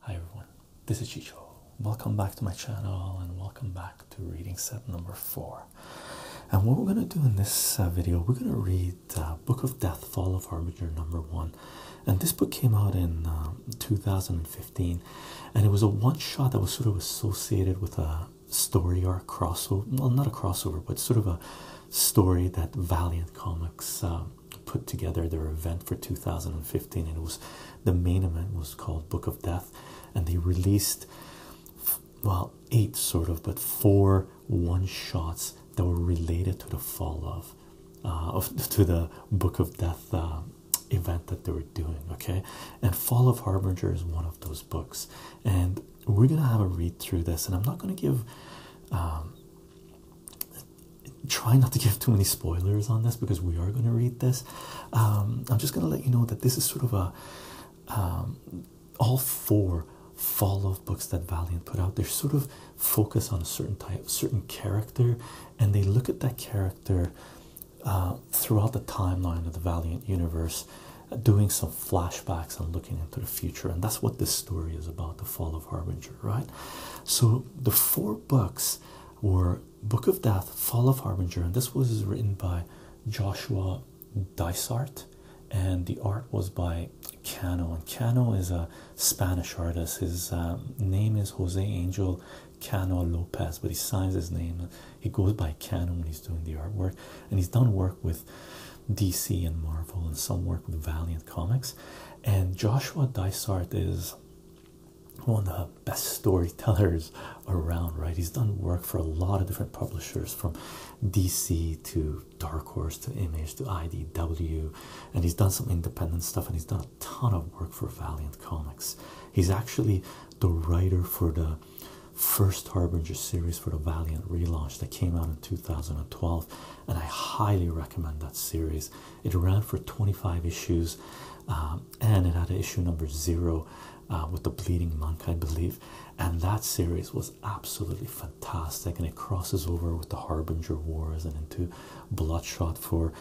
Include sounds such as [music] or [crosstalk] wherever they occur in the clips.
Hi everyone, this is Chicho. Welcome back to my channel and welcome back to reading set number four. And what we're going to do in this uh, video, we're going to read uh, Book of Death, Fall of Harbinger number one. And this book came out in um, 2015 and it was a one shot that was sort of associated with a story or a crossover. Well, not a crossover, but sort of a story that Valiant Comics um, put together their event for 2015 and it was the main event was called book of death and they released well eight sort of but four one shots that were related to the fall of uh, of [laughs] to the book of death uh, event that they were doing okay and fall of harbinger is one of those books and we're gonna have a read through this and i'm not gonna give um, try not to give too many spoilers on this because we are going to read this. Um, I'm just going to let you know that this is sort of a um, all 4 fall of books that Valiant put out. They're sort of focus on a certain type, certain character, and they look at that character uh, throughout the timeline of the Valiant universe, doing some flashbacks and looking into the future. And that's what this story is about: the fall of Harbinger, right? So the four books or Book of Death, Fall of Harbinger, and this was written by Joshua Dysart, and the art was by Cano. And Cano is a Spanish artist. His um, name is Jose Angel Cano Lopez, but he signs his name. He goes by Cano when he's doing the artwork, and he's done work with DC and Marvel, and some work with Valiant Comics. And Joshua Dysart is one of the best storytellers around, right? He's done work for a lot of different publishers from DC to Dark Horse to Image to IDW, and he's done some independent stuff and he's done a ton of work for Valiant Comics. He's actually the writer for the first Harbinger series for the Valiant relaunch that came out in 2012, and I highly recommend that series. It ran for 25 issues, um, and it had issue number zero uh, with the bleeding monk, I believe. And that series was absolutely fantastic, and it crosses over with the Harbinger Wars and into Bloodshot for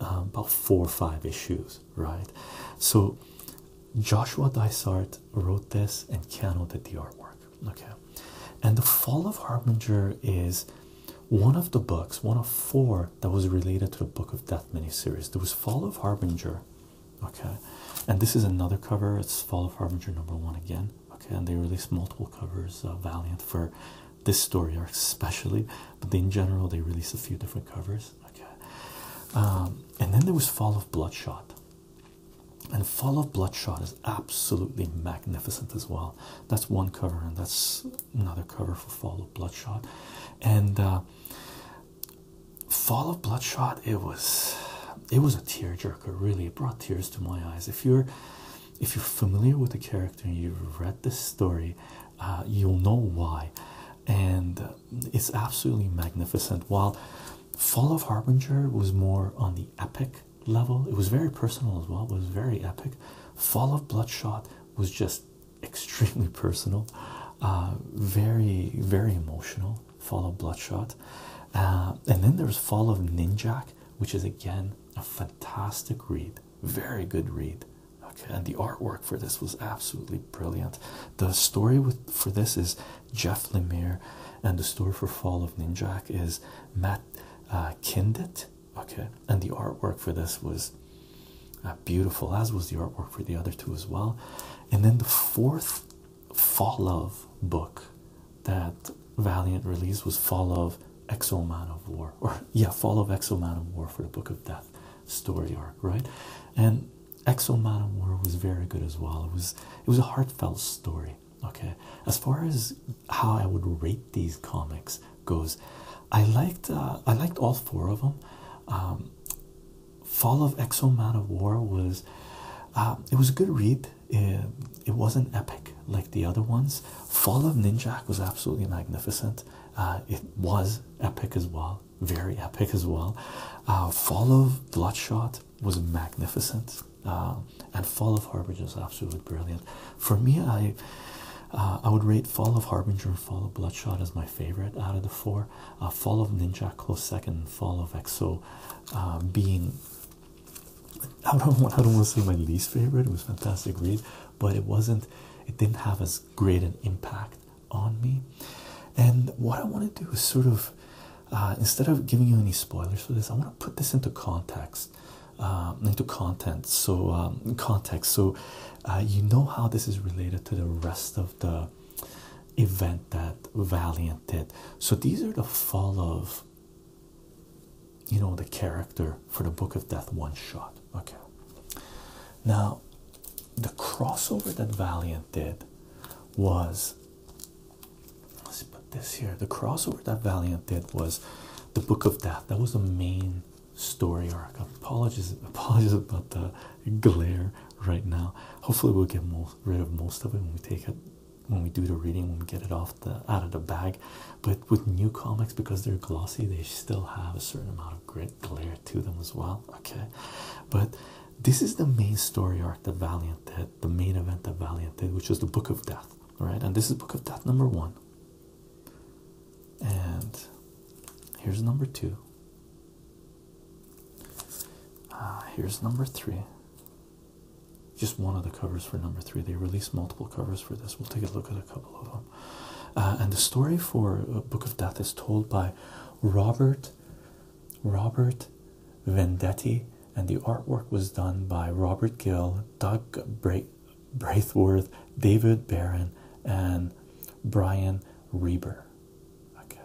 um, about four or five issues, right? So Joshua Dysart wrote this, and Keanu did the artwork. Okay, and the fall of Harbinger is one of the books, one of four that was related to the Book of Death miniseries. There was Fall of Harbinger, okay, and this is another cover. It's Fall of Harbinger number one again, okay, and they released multiple covers. Uh, Valiant for this story are especially, but in general they release a few different covers, okay. Um, and then there was Fall of Bloodshot. And Fall of Bloodshot is absolutely magnificent as well. That's one cover, and that's another cover for Fall of Bloodshot, and uh, Fall of Bloodshot. It was, it was a tearjerker. Really, it brought tears to my eyes. If you're, if you're familiar with the character and you've read this story, uh, you'll know why, and uh, it's absolutely magnificent. While Fall of Harbinger was more on the epic level, it was very personal as well. It was very epic. Fall of Bloodshot was just extremely personal, uh, very, very emotional. Fall of Bloodshot, uh, and then there's Fall of Ninjak, which is again a fantastic read, very good read. and the artwork for this was absolutely brilliant. The story with for this is Jeff Lemire, and the story for Fall of Ninjak is Matt uh, okay and the artwork for this was uh, beautiful as was the artwork for the other two as well and then the fourth fall of book that valiant released was fall of exo man of war [laughs] or yeah fall of exo man of war for the book of death story arc right and exo man of war was very good as well it was it was a heartfelt story okay as far as how i would rate these comics goes I liked uh, I liked all four of them. Um, Fall of Exo Man of War was uh, it was a good read. It, it wasn't epic like the other ones. Fall of Ninjak was absolutely magnificent. Uh, it was epic as well, very epic as well. Fall of Bloodshot was magnificent, and Fall of Harbor is absolutely brilliant. For me, I uh, I would rate Fall of Harbinger and Fall of Bloodshot as my favorite out of the four. Uh, Fall of Ninja close second. Fall of Exo um, being [laughs] I don't want I don't want to say my least favorite. It was fantastic read, but it wasn't. It didn't have as great an impact on me. And what I want to do is sort of uh, instead of giving you any spoilers for this, I want to put this into context, um, into content. So um, context. So uh, you know how this is related to the rest of the event that Valiant did. So these are the fall of you know the character for the Book of Death one shot. Okay. Now the crossover that Valiant did was let's put this here. The crossover that Valiant did was the Book of Death. That was the main story arc. Apologies, apologies about the glare right now. Hopefully, we'll get rid of most of it when we take it, when we do the reading, when we get it off the out of the bag. But with new comics, because they're glossy, they still have a certain amount of grit glare to them as well. Okay, but this is the main story arc the Valiant the main event that Valiant did, which was the Book of Death. Right, and this is Book of Death number one. And here's number two. Uh, here's number three. Just one of the covers for number three. They released multiple covers for this. We'll take a look at a couple of them. Uh, and the story for uh, Book of Death is told by Robert Robert Vendetti, and the artwork was done by Robert Gill, Doug Bray. Braithworth, David Barron, and Brian Reber. Okay,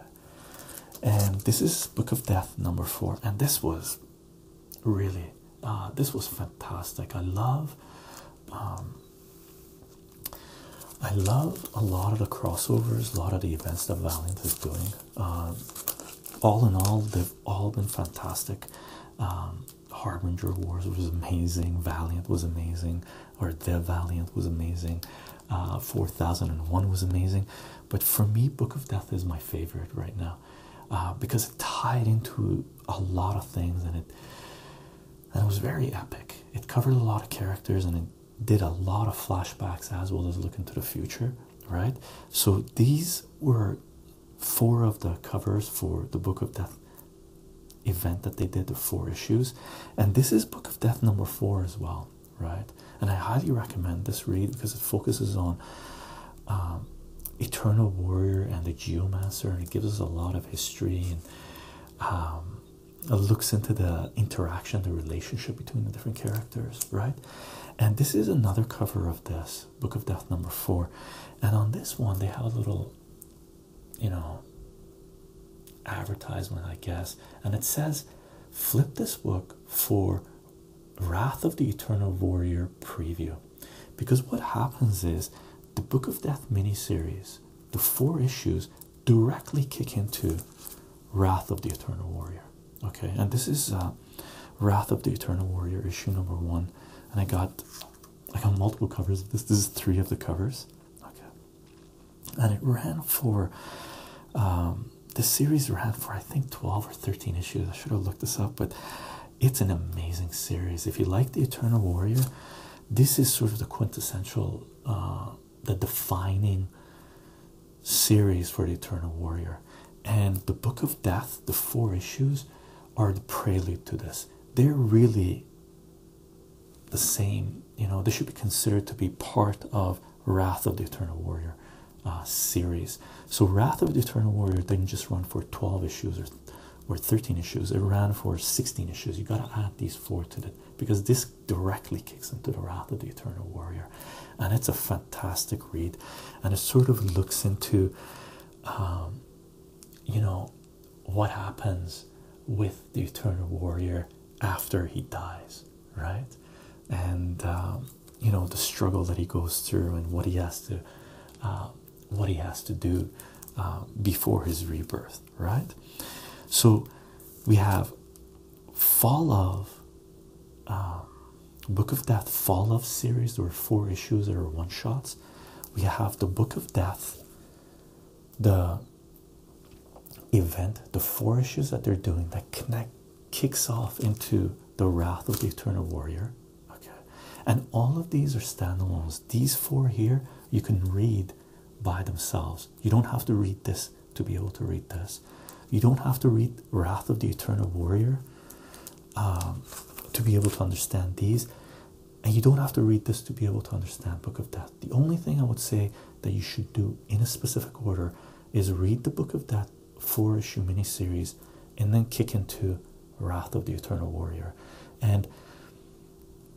and this is Book of Death number four, and this was really uh, this was fantastic. I love, um, I love a lot of the crossovers, a lot of the events that Valiant is doing. Um, all in all, they've all been fantastic. Um, Harbinger Wars was amazing, Valiant was amazing, or The Valiant was amazing, uh, 4001 was amazing. But for me, Book of Death is my favorite right now uh, because it tied into a lot of things and it, and it was very epic. It covered a lot of characters and it did a lot of flashbacks as well as look into the future, right? So these were four of the covers for the Book of Death event that they did the four issues and this is book of death number four as well right and i highly recommend this read because it focuses on um, eternal warrior and the Geo Master, and it gives us a lot of history and um, looks into the interaction the relationship between the different characters right and this is another cover of this book of death number four and on this one they have a little you know advertisement i guess and it says flip this book for wrath of the eternal warrior preview because what happens is the book of death miniseries the four issues directly kick into wrath of the eternal warrior okay and this is uh, wrath of the eternal warrior issue number one and i got i got multiple covers of this this is three of the covers okay and it ran for um, the series ran for I think 12 or 13 issues. I should have looked this up, but it's an amazing series. If you like the Eternal Warrior, this is sort of the quintessential, uh, the defining series for the Eternal Warrior. And the Book of Death, the four issues, are the prelude to this. They're really the same, you know, this should be considered to be part of Wrath of the Eternal Warrior uh, series. So, Wrath of the Eternal Warrior didn't just run for 12 issues or, or 13 issues, it ran for 16 issues. You got to add these four to it because this directly kicks into the Wrath of the Eternal Warrior, and it's a fantastic read. And it sort of looks into, um, you know, what happens with the eternal warrior after he dies, right? And um, you know the struggle that he goes through and what he has to, um, what he has to do um, before his rebirth, right? So we have Fall of Book of Death, Fall of series. There were four issues that were one shots. We have the Book of Death, the event, the four issues that they're doing that connect kicks off into the Wrath of the Eternal Warrior. Okay, and all of these are standalones. These four here you can read by themselves. You don't have to read this to be able to read this. You don't have to read Wrath of the Eternal Warrior um, to be able to understand these, and you don't have to read this to be able to understand Book of Death. The only thing I would say that you should do in a specific order is read the Book of Death four issue miniseries and then kick into Wrath of the Eternal Warrior. And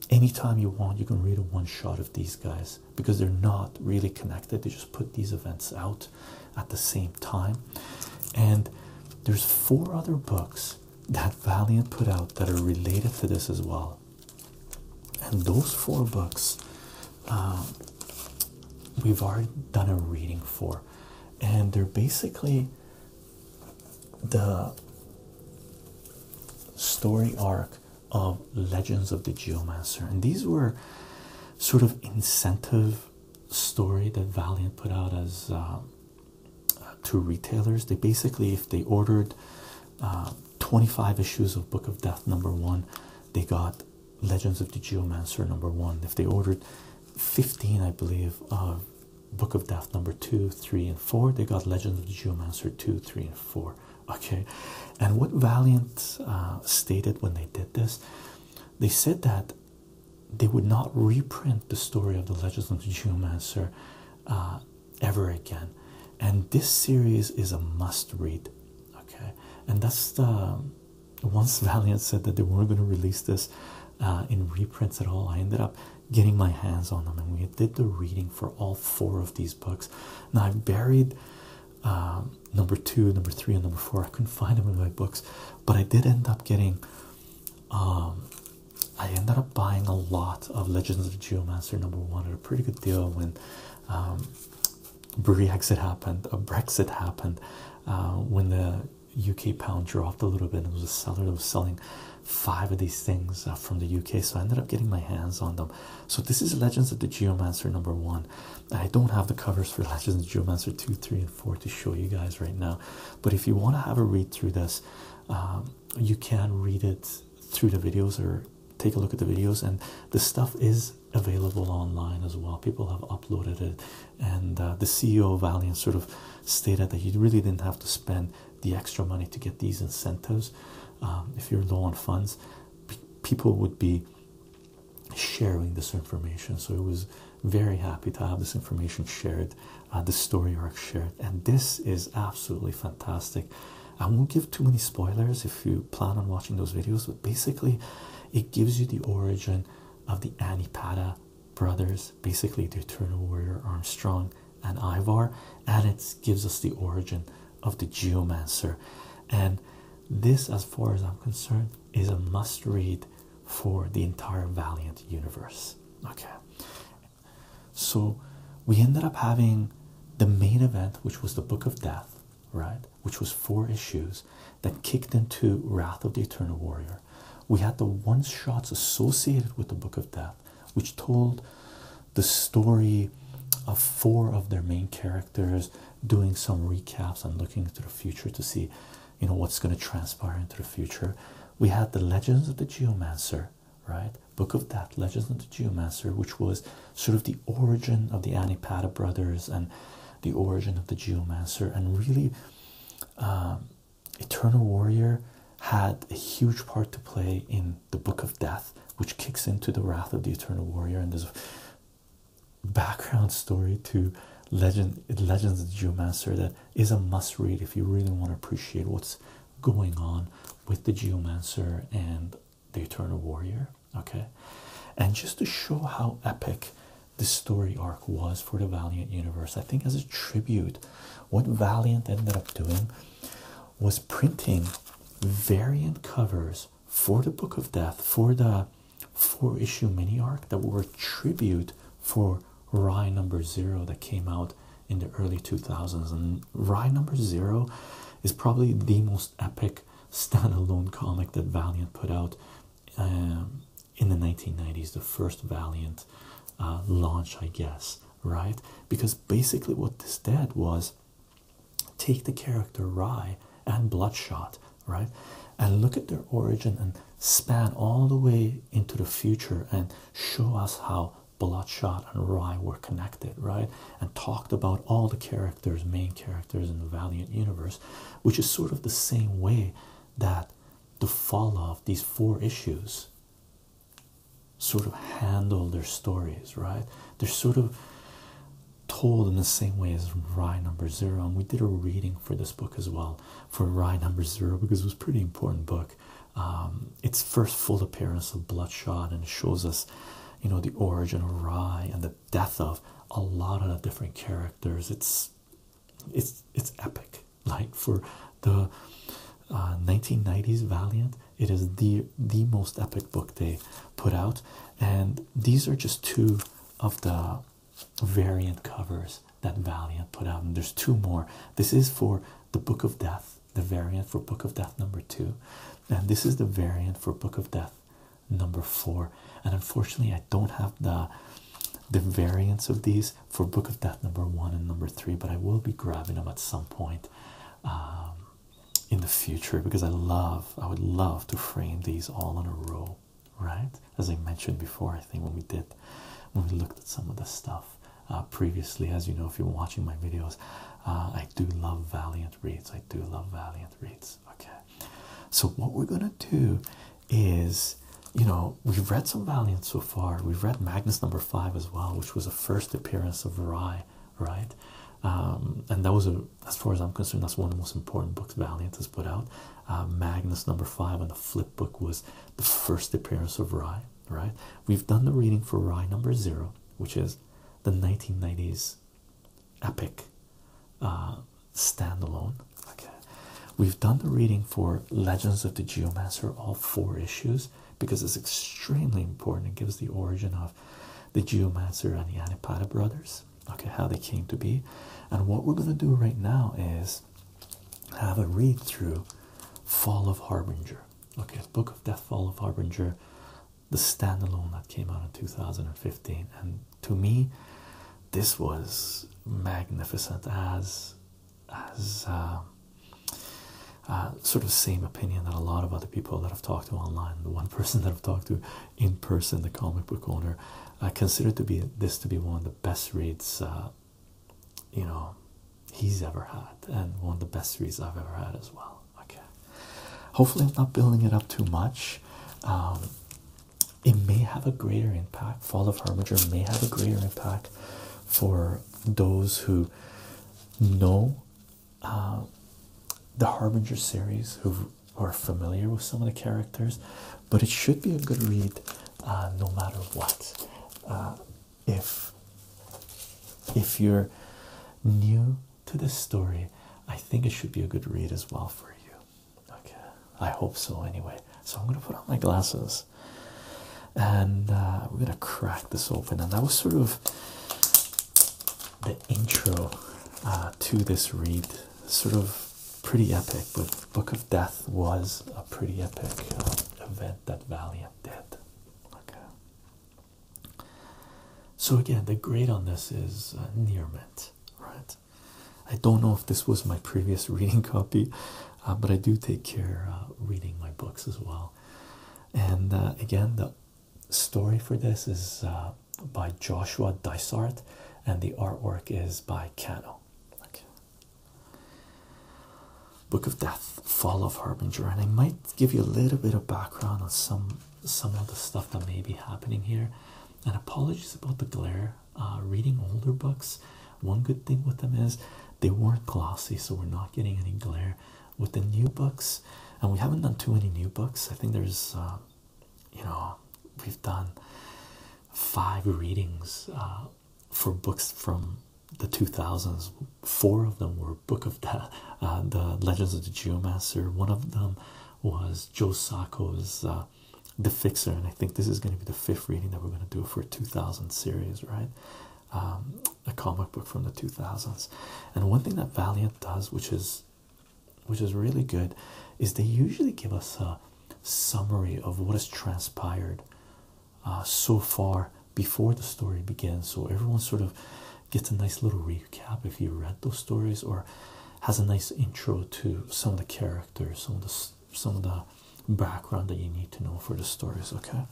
anytime you want, you can read a one shot of these guys because they're not really connected. They just put these events out at the same time. And there's four other books that Valiant put out that are related to this as well and those four books um, we've already done a reading for and they're basically the story arc of legends of the geomancer and these were sort of incentive story that valiant put out as um, to retailers they basically if they ordered um, 25 issues of Book of Death number one. They got Legends of the Geomancer number one. If they ordered 15, I believe, Book of Death number two, three, and four, they got Legends of the Geomancer two, three, and four. Okay, and what Valiant uh, stated when they did this, they said that they would not reprint the story of the Legends of the Geomancer. Uh, ever again. And this series is a must read, okay? And that's the once [laughs] Valiant said that they weren't going to release this uh, in reprints at all. I ended up getting my hands on them, and we did the reading for all four of these books. Now, I've buried um, number two, number three, and number four. I couldn't find them in my books, but I did end up getting. Um, I ended up buying a lot of Legends of Geomancer number one pretty good deal when um, Brexit happened, a Brexit happened, uh, when the UK pound dropped a little bit. It was a seller that was selling five of these things uh, from the UK, so I ended up getting my hands on them. So this is Legends of the Geomancer number one. I don't have the covers for [laughs] Legends of the Geomancer two, three, and four to show you guys right now, but if you want to have a read through this, um, you can read it through the videos or take a look at the videos and the stuff is available online as well people have uploaded it and uh, the ceo of valiant sort of stated that you really didn't have to spend the extra money to get these incentives um, if you're low on funds people would be sharing this information so it was very happy to have this information shared uh, the story arc shared and this is absolutely fantastic I won't give too many spoilers if you plan on watching those videos, but basically, it gives you the origin of the Anipata brothers, basically the Eternal Warrior Armstrong and Ivar, and it gives us the origin of the Geomancer. And this, as far as I'm concerned, is a must read for the entire Valiant universe. Okay, so we ended up having the main event, which was the Book of Death, right? Which was four issues that kicked into Wrath of the Eternal Warrior. We had the one shots associated with the Book of Death, which told the story of four of their main characters doing some recaps and looking into the future to see you know what's going to transpire into the future. We had the legends of the geomancer right? Book of Death, Legends of the Geomancer, which was sort of the origin of the Anipata brothers and the origin of the Geomancer, and really, um, Eternal Warrior had a huge part to play in the Book of Death, which kicks into the Wrath of the Eternal Warrior, and this background story to legend legends of the geomancer that is a must read if you really want to appreciate what's going on with the geomancer and the Eternal Warrior. Okay, and just to show how epic the story arc was for the Valiant universe, I think as a tribute, what Valiant ended up doing was printing variant covers for the Book of Death for the four issue mini arc that were a tribute for Rye number zero that came out in the early 2000s and Rye number zero is probably the most epic standalone comic that Valiant put out um, in the 1990s, the first Valiant uh, launch, I guess, right? Because basically, what this did was take the character Rye and Bloodshot, right, and look at their origin and span all the way into the future and show us how Bloodshot and Rye were connected, right? And talked about all the characters, main characters in the Valiant universe, which is sort of the same way that the fall of these four issues sort of handle their stories, right? They're sort of told in the same way as Rye number zero. And we did a reading for this book as well for Rye number zero because it was pretty important book. Um, its first full appearance of Bloodshot and shows us you know the origin of Rye and the death of a lot of the different characters. It's it's it's epic. Like for the uh, 1990s Valiant, it is the the most epic book they put out, and these are just two of the variant covers that Valiant put out, and there's two more. This is for the Book of Death the variant for Book of Death number two, and this is the variant for Book of Death number four. And unfortunately, I don't have the the variants of these for Book of Death number one and number three, but I will be grabbing them at some point um, in the future because I love, I would love to frame these all in a row, right? As I mentioned before, I think when we did, when we looked at some of the stuff. Uh, previously, as you know, if you're watching my videos, uh, I do love valiant reads. I do love Valiant reads. Okay. So what we're gonna do is you know we've read some Valiant so far. We've read Magnus number five as well, which was a first appearance of Rye, right? Um, and that was a as far as I'm concerned, that's one of the most important books Valiant has put out. Uh, Magnus number five and the flip book was the first appearance of Rye, right? We've done the reading for Rye number zero, which is the 1990s epic uh, standalone. Okay, we've done the reading for Legends of the Geomancer, all four issues, because it's extremely important. It gives the origin of the Geomancer and the Anipata brothers. Okay, how they came to be, and what we're gonna do right now is have a read through Fall of Harbinger. Okay, Book of Death, Fall of Harbinger, the standalone that came out in 2015 and to me this was magnificent as as um, uh, sort of same opinion that a lot of other people that I've talked to online the one [laughs] person that I've talked to in person the comic book owner I uh, consider to be this to be one of the best reads uh, you know he's ever had and one of the best reads I've ever had as well Okay, hopefully, I'm not building it up too much. Um, it may have a greater impact. Fall of Harbinger may have a greater impact for those who know uh, the Harbinger series, who are familiar with some of the characters, but it should be a good read uh, no matter what. Uh, if if you're new to this story, I think it should be a good read as well for you. Okay, I hope so anyway. So I'm gonna put on my glasses and uh, we're gonna crack this open. And that was sort of the intro uh, to this read, sort of pretty epic. But Book of Death was a pretty epic uh, event that Valiant did. Okay. So again, the grade on this is uh, near mint, right? I don't know if this was my previous [laughs] reading copy, uh, but I do take care uh, reading my books as well. And uh, again, the story for this is by Joshua Dysart, and the artwork is by Cano. Book of Death, Fall of Harbinger, and I might give you a little bit of background on some some of the stuff that may be happening here. And apologies about the glare. Uh, reading older books, one good thing with them is they weren't glossy, so we're not getting any glare with the new books. And we haven't done too many new books. I think there's, uh, you know, we've done five readings uh, for books from the 2000s. Four of them were Book of the Legends of the Geomancer. One of them was Joe Sacco's uh, The Fixer, and I think this is going to be the fifth reading that we're going to do for a 2000 series, right? Um, a comic book from the 2000s. And one thing that Valiant does, which is which is really good, is they usually give us a summary of what has transpired uh, so far before the story begins. So everyone sort of gets a nice little recap if you read those stories or has a nice intro to some of the characters some of the some of the background that you need to know for the stories okay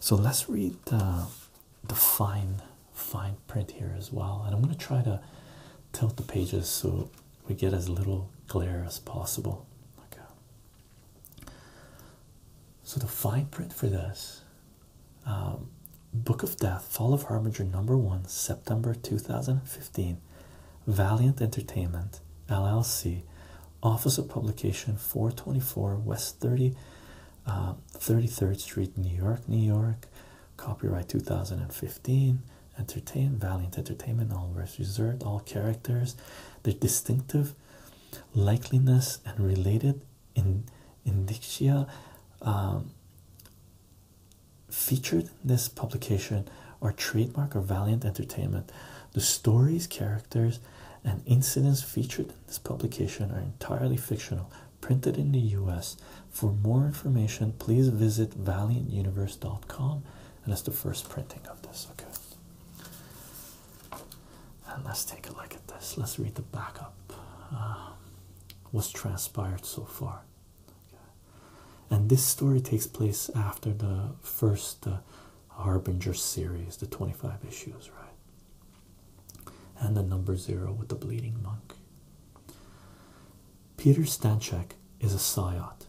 so let's read the, the fine fine print here as well and i'm going to try to tilt the pages so we get as little glare as possible okay so the fine print for this um, Book of Death, Fall of Harbinger, number one, September 2015, Valiant Entertainment, LLC, Office of Publication, 424 West 30, 33rd uh, Street, New York, New York, copyright 2015. Entertain Valiant Entertainment, all rights reserved, all characters, their distinctive likeliness and related in Indixia um, featured in this publication are trademark of Valiant Entertainment. The stories, characters, and incidents featured in this publication are entirely fictional, printed in the US. For more information, please visit valiantuniverse.com. And that's the first printing of this. Okay. And let's take a look at this. Let's read the backup. Uh, was transpired so far. And this story takes place after the first uh, Harbinger series, the 25 issues, right? And the number zero with the bleeding monk. Peter Stanchek is a psyot,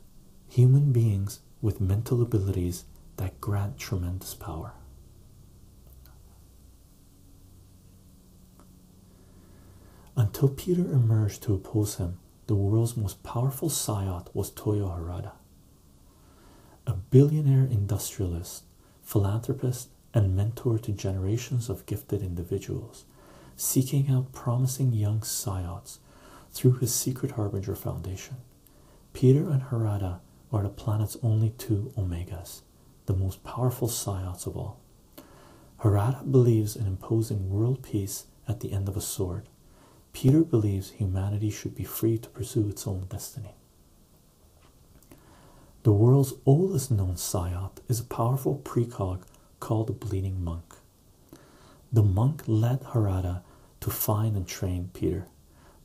human beings with mental abilities that grant tremendous power. Until Peter emerged to oppose him, the world's most powerful psyot was Toyo Harada, a billionaire industrialist, philanthropist, and mentor to generations of gifted individuals, seeking out promising young psyots through his Secret Harbinger Foundation. Peter and Harada are the planet's only two omegas the most powerful psyops of all. Harada believes in imposing world peace at the end of a sword. Peter believes humanity should be free to pursue its own destiny. The world's oldest known psyop is a powerful precog called the Bleeding Monk. The monk led Harada to find and train Peter,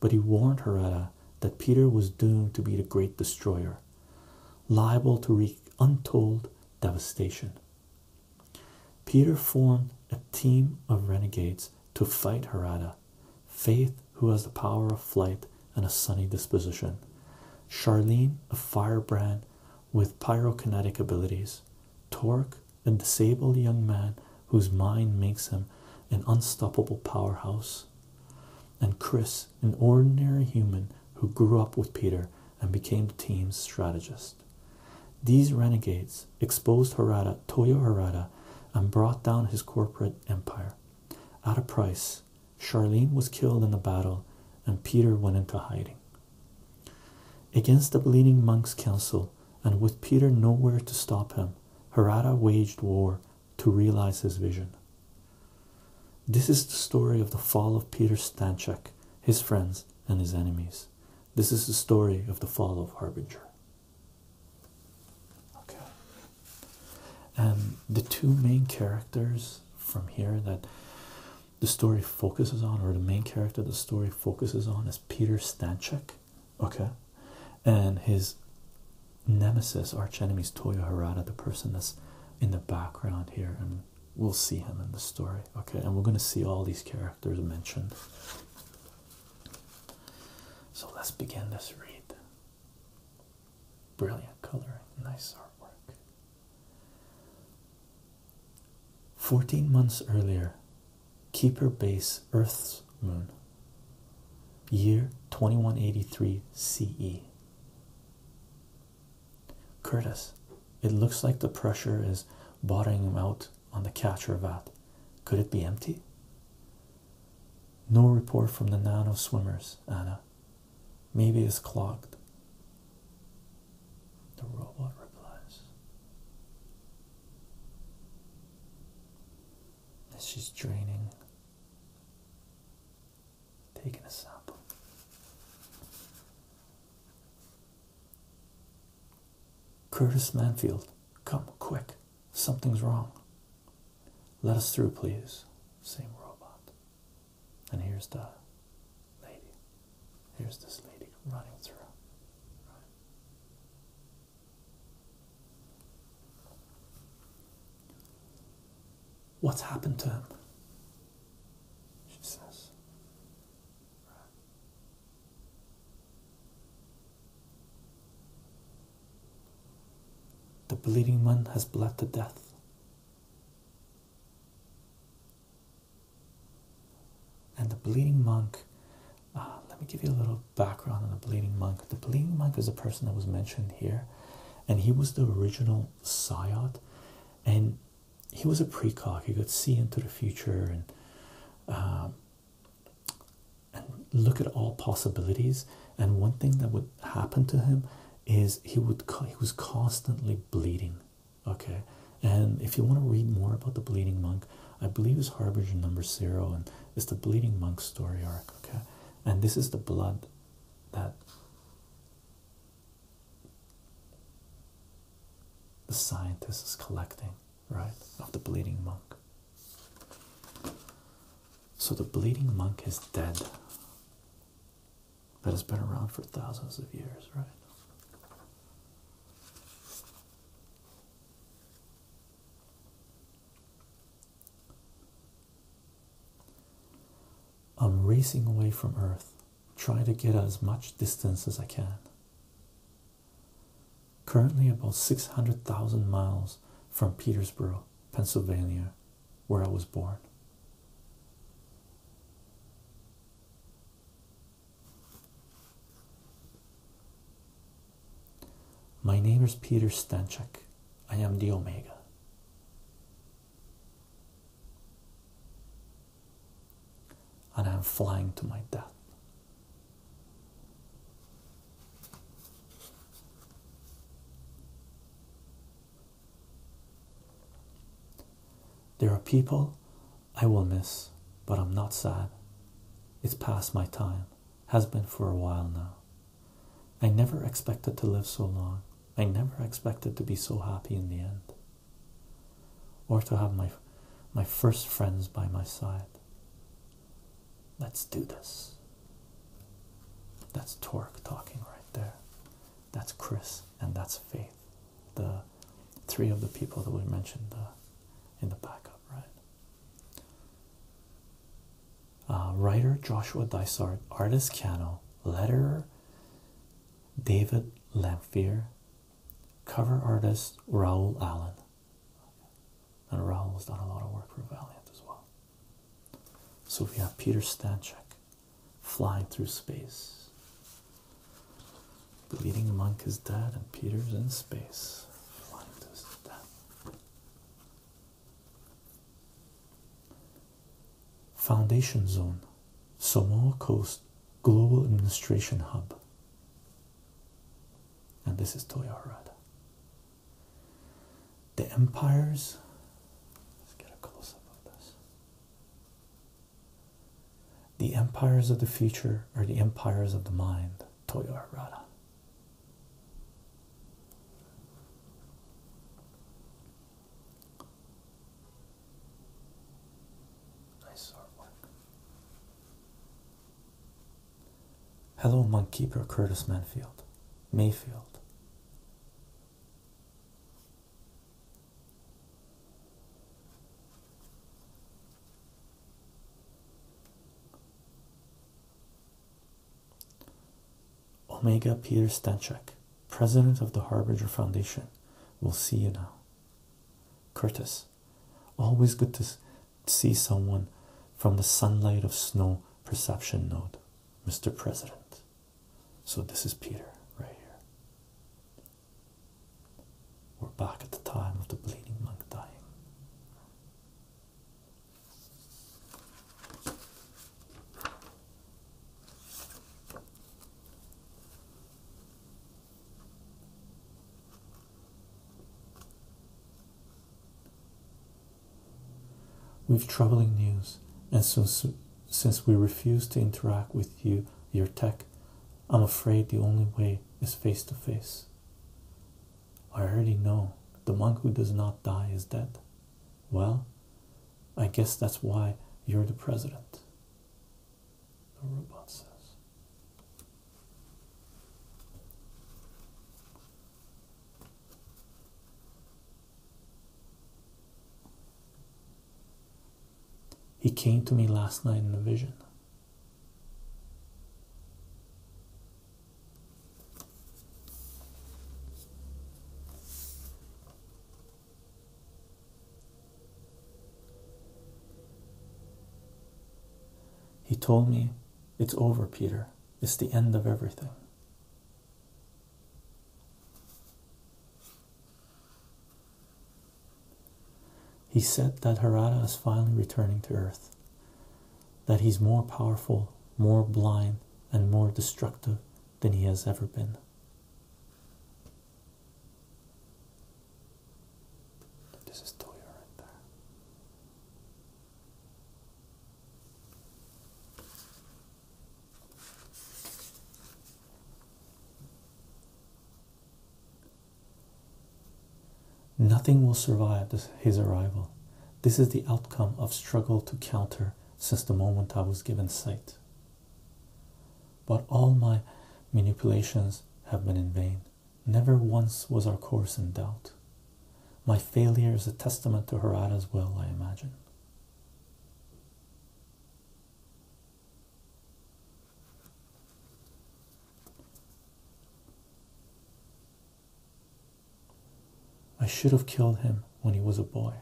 but he warned Harada that Peter was doomed to be the great destroyer, liable to wreak untold devastation. Peter formed a team of renegades to fight Harada, Faith, who has the power of flight and a sunny disposition, Charlene, a firebrand with pyrokinetic abilities, Torque, a disabled young man whose mind makes him an unstoppable powerhouse, and Chris, an ordinary human who grew up with Peter and became the team's strategist. These renegades exposed Harada, Toyo Harada, and brought down his corporate empire. At a price, Charlene was killed in the battle, and Peter went into hiding. Against the Bleeding Monks Council, and with Peter nowhere to stop him, Harada waged war to realize his vision. This is the story of the fall of Peter Stanchek, his friends, and his enemies. This is the story of the fall of Harbinger. Okay. And the two main characters from here that the story focuses on, or the main character the story focuses on, is Peter Stanchek. Okay. And his nemesis, arch enemy's Toyo Harada, the person that's in the background here and We'll see him in the story. Okay, and we're going to see all these characters mentioned. So let's begin this read. Brilliant coloring, nice artwork. 14 months earlier, Keeper Base Earth's Moon, year 2183 CE. Curtis, it looks like the pressure is bottling him out on the catcher vat. Could it be empty? No report from the nano swimmers, Anna. Maybe it's clogged. The robot replies. She's draining taking a sample. Curtis Manfield, come quick. Something's wrong. Let us through, please. Same robot. And here's the lady. Here's this lady running through. What's happened to him? she says. The bleeding man has bled to death. And the bleeding monk, uh, let me give you a little background on the bleeding monk. The bleeding monk is a person that was mentioned here, and he was the original Sayat. And he was a precock. He could see into the future and um, and look at all possibilities. And one thing that would happen to him is he would he was constantly bleeding. Okay, and if you want to read more about the bleeding monk, I believe is Harbinger number zero, and it's the bleeding monk story arc. Okay, and this is the blood that the scientist is collecting, right, of the bleeding monk. So the bleeding monk is dead. That has been around for thousands of years, right? I'm racing away from Earth try to get as much distance as I can. Currently, about 600,000 miles from Petersburg, Pennsylvania, where I was born. My name is Peter Stanchek. I am the Omega and I'm flying to my death. There are people I will miss, but I'm not sad. It's past my time, has been for a while now. I never expected to live so long. I never expected to be so happy in the end or to have my my first friends by my side. Let's do this. That's Torque talking right there. That's Chris and that's Faith. The three of the people that we mentioned uh, in the backup, right? Uh, writer Joshua Dysart, artist Cano, letterer David Lamphere, cover artist Raoul Allen. And Raoul has done a lot of work for Valiant as well. So we have Peter Stanchek flying through space. The leading monk is dead, and Peter's in space. Flying through death. Foundation Zone, Somal Coast Global Administration Hub. And this is Toyarad. The empires. Let's get a close up of this. The empires of the future are the empires of the mind, Toyarada. Nice artwork. Hello, Monkeeper Curtis Manfield. Mayfield. Omega Peter Stanchek. President of the Harbinger Foundation. We'll see you now. Curtis. Always good to see someone from the sunlight of snow perception node, Mr. President. So this is Peter right here. We're back at the time of the bleeding monk dying. We've troubling news, and so, since we refuse to interact with you, your tech, I'm afraid the only way is face to face. I already know the monk who does not die is dead. Well, I guess that's why you're the president. The robot says. He came to me last night in a vision. He told me, It's over, Peter. It's the end of everything. He said that Harada is finally returning to Earth, that he's more powerful, more blind, and more destructive than he has ever been. This is Toya right there. Nothing will survive his arrival. This is the outcome of struggle to counter since the moment I was given sight. But all my manipulations have been in vain. Never once was our course in doubt. My failure is a testament to Harada's will, I imagine. I should have killed him when he was a boy,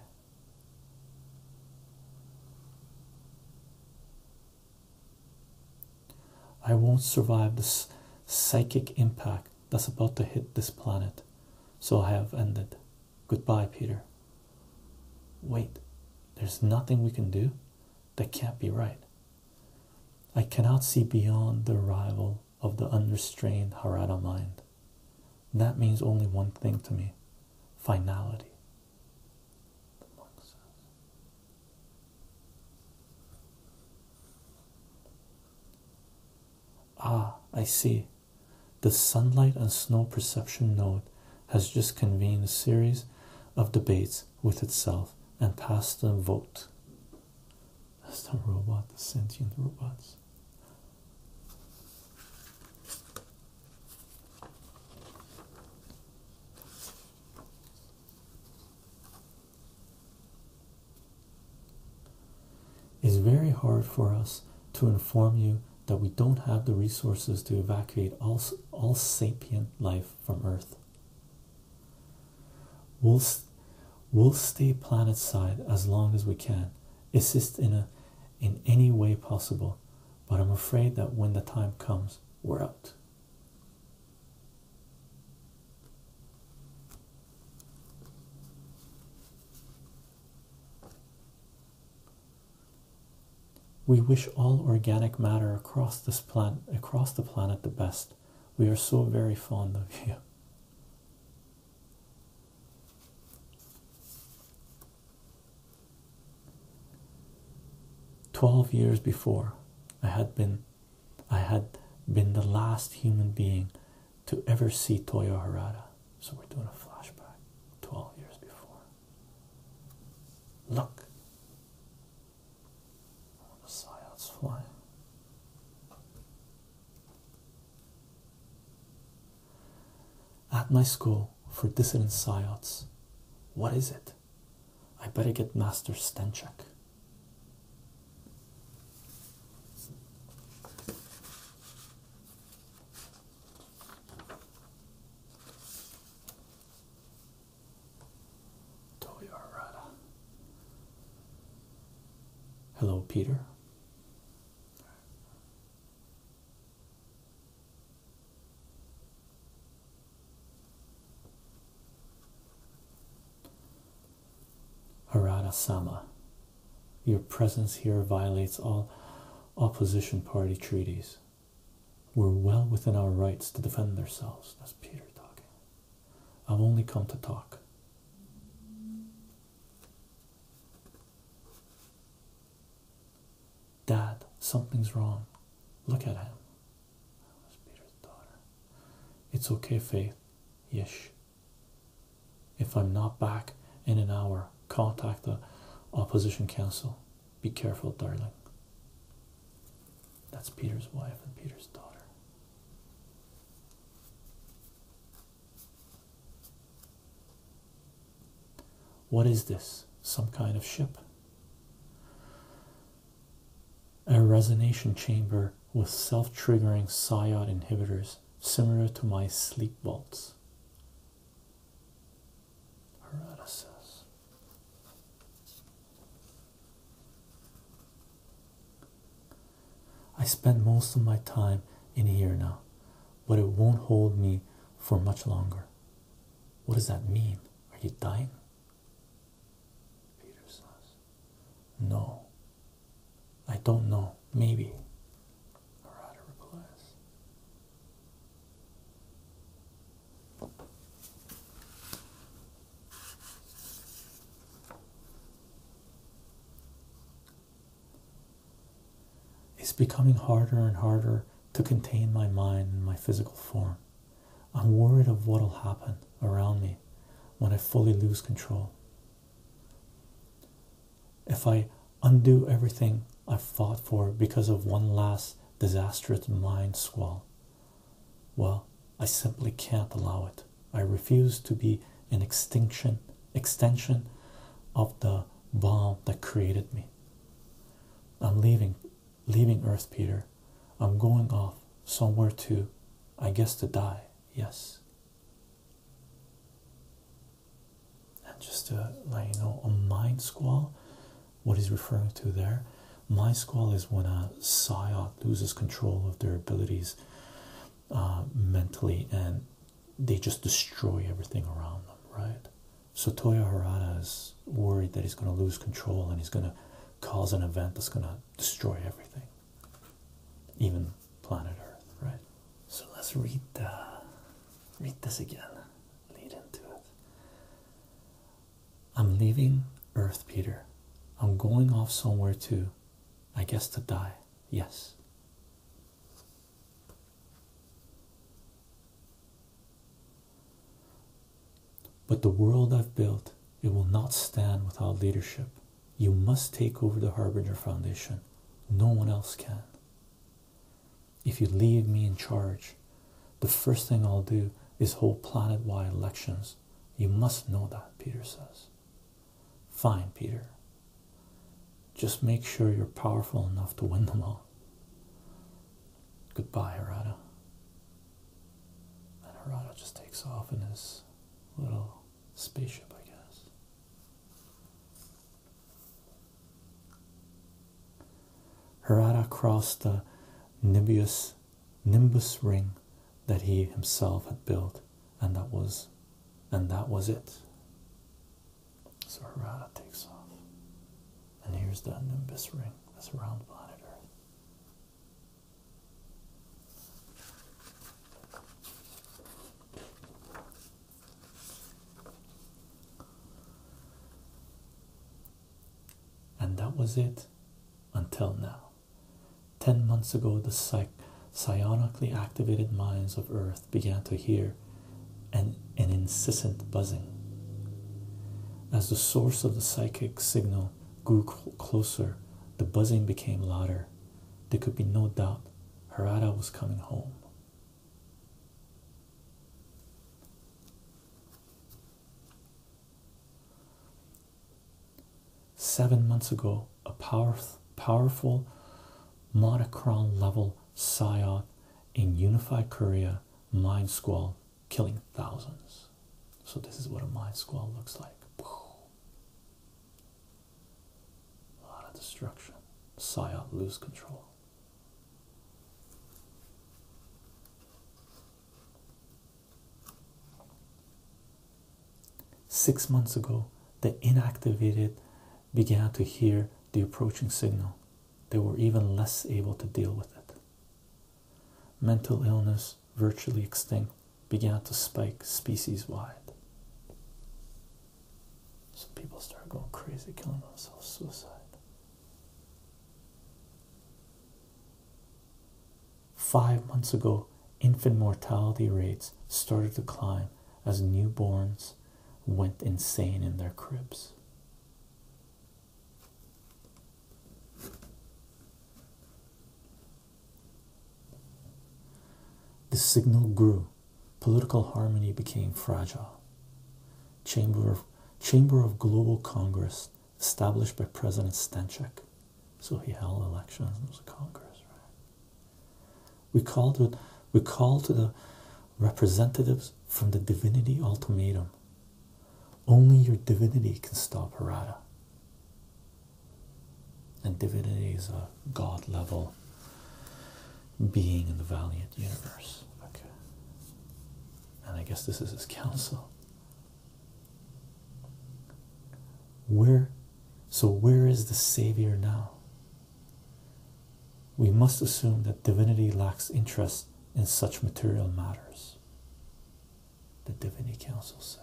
I won't survive this psychic impact that's about to hit this planet, so I have ended. Goodbye, Peter. Wait, there's nothing we can do? That can't be right. I cannot see beyond the arrival of the unrestrained Harada mind. That means only one thing to me finality. Ah, I see. The sunlight and snow perception node has just convened a series of debates with itself and passed a vote. As the robot, the sentient robots. It's very hard for us to inform you that we don't have the resources to evacuate all, all sapient life from Earth. We'll, we'll stay planet side as long as we can, assist in, a, in any way possible, but I'm afraid that when the time comes, we're out. We wish all organic matter across this planet across the planet the best. We are so very fond of you. Twelve years before, I had been I had been the last human being to ever see Toyo Harada. So we're doing a flashback 12 years before. Look. Oh, the silence flying. At my school for dissident psyops, what is it? I better get Master Stenchuk. Hello, Peter. Harada your presence here violates all opposition party treaties. We're well within our rights to defend ourselves. That's Peter talking. I've only come to talk. Dad, something's wrong. Look at him. That was Peter's daughter. It's okay, Faith. Yesh. If I'm not back in an hour, contact the opposition council. Be careful, darling. That's Peter's wife and Peter's daughter. What is this? Some kind of ship? A resonation chamber with self triggering psyod inhibitors, similar to my sleep vaults. I spend most of my time in here now, but it won't hold me for much longer. What does that mean? Are you dying? Peter says, No. I don't know. Maybe. Harada replies. It's becoming harder and harder to contain my mind in my physical form. I'm worried of what will happen around me when I fully lose control. If I undo everything I fought for because of one last disastrous mind squall, well, I simply can't allow it. I refuse to be an extinction extension of the bomb that created me. I'm leaving leaving Earth, Peter. I'm going off somewhere to, I guess, to die. Yes. And just to let you know, a mind squall, what he's referring to there, mind squall is when a psiot loses control of their abilities uh, mentally and they just destroy everything around them, right? So Toyo Harada is worried that he's going to lose control and he's going to cause an event that's going to destroy everything, even planet Earth, right? So let's read the, read this again. Lead into it. I'm leaving Earth, Peter. I'm going off somewhere to, I guess, to die. Yes. But the world I've built, it will not stand without leadership. You must take over the Harbinger Foundation. No one else can. If you leave me in charge, the first thing I'll do is hold planet wide elections. You must know that, Peter says. Fine, Peter. Just make sure you're powerful enough to win them all. Goodbye, Harada. And Harada just takes off in his little spaceship, I guess. Harada crossed the nimbus, ring that he himself had built, and that was and that was it. So Harada takes off. And here's the Nimbus ring that's around planet Earth. And that was it until now. Ten months ago, the psych psionically activated minds of Earth began to hear an, an incessant buzzing. As the source of the psychic signal grew closer, the buzzing became louder. There could be no doubt Harada was coming home. Seven months ago, a power, powerful monochrome level psyop in unified Korea, Mind Squall, killing thousands. So, this is what a mind squall looks like. A lot of destruction. Saya lose control. Six months ago, the inactivated began to hear the approaching signal. They were even less able to deal with it. Mental illness, virtually extinct, began to spike species wide. So people started going crazy, killing themselves, suicide. Five months ago, infant mortality rates started to climb as newborns went insane in their cribs. The signal grew. Political harmony became fragile. Chamber of, Chamber of Global Congress established by President Stanchek. So he held elections and was a Congress, right? We called it we called to the representatives from the Divinity Ultimatum only your divinity can stop Harada. And divinity is a god level being in the Valiant universe. Okay. And I guess this is his counsel. Where so where is the savior now? We must assume that divinity lacks interest in such material matters the Divinity Council says.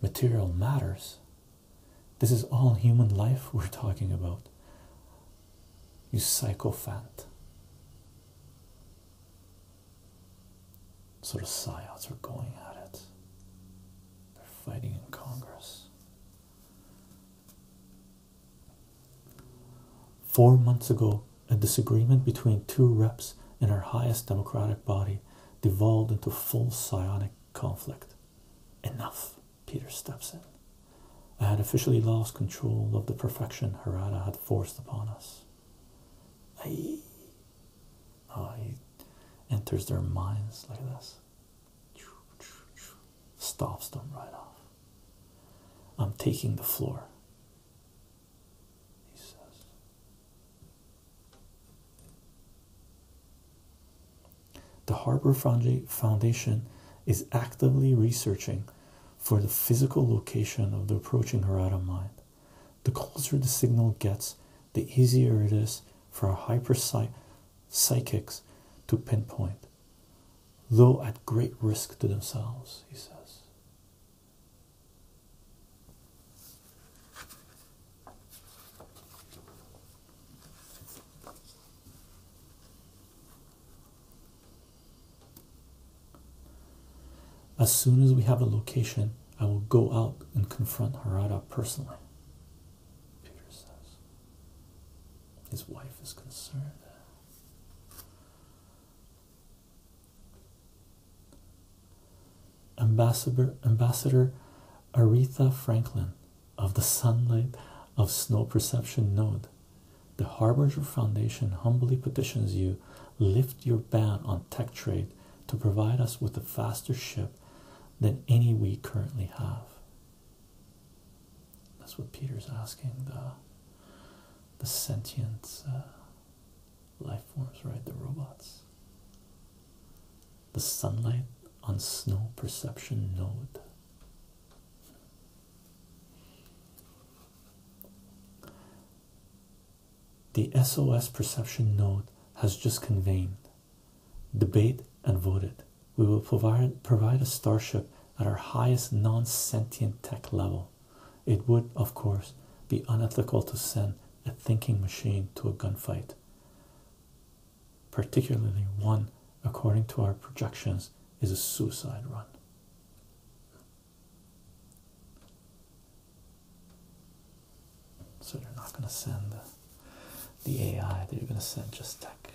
Material matters. This is all human life we're talking about. You sycophant. Sort of psyops are going at it. They're fighting in Congress. Four months ago, a disagreement between two reps in our highest democratic body devolved into full psionic conflict. Enough, Peter steps in. I had officially lost control of the perfection Harada had forced upon us. Aye. Oh, he enters their minds like this. Stops them right off. I'm taking the floor. He says. The Harbor Foundation is actively researching for the physical location of the approaching Harada mind. The closer the signal gets, the easier it is for a hyper psychics to pinpoint, though at great risk to themselves, he says. As soon as we have a location, I will go out and confront Harada personally. Peter says. His wife is concerned. Ambassador, Ambassador Aretha Franklin of the Sunlight of Snow Perception Node. The Harbinger Foundation humbly petitions you lift your ban on tech trade to provide us with a faster ship than any we currently have. That's what Peter's asking the the sentient uh, life forms, right? The robots. The sunlight on snow perception node. The SOS perception node has just convened, debate, and voted we will provide, a starship at our highest non sentient tech level. It would, of course, be unethical to send a thinking machine to a gunfight, particularly one, according to our projections, is a suicide run. So they're not going to send the, the AI, they're going to send just tech.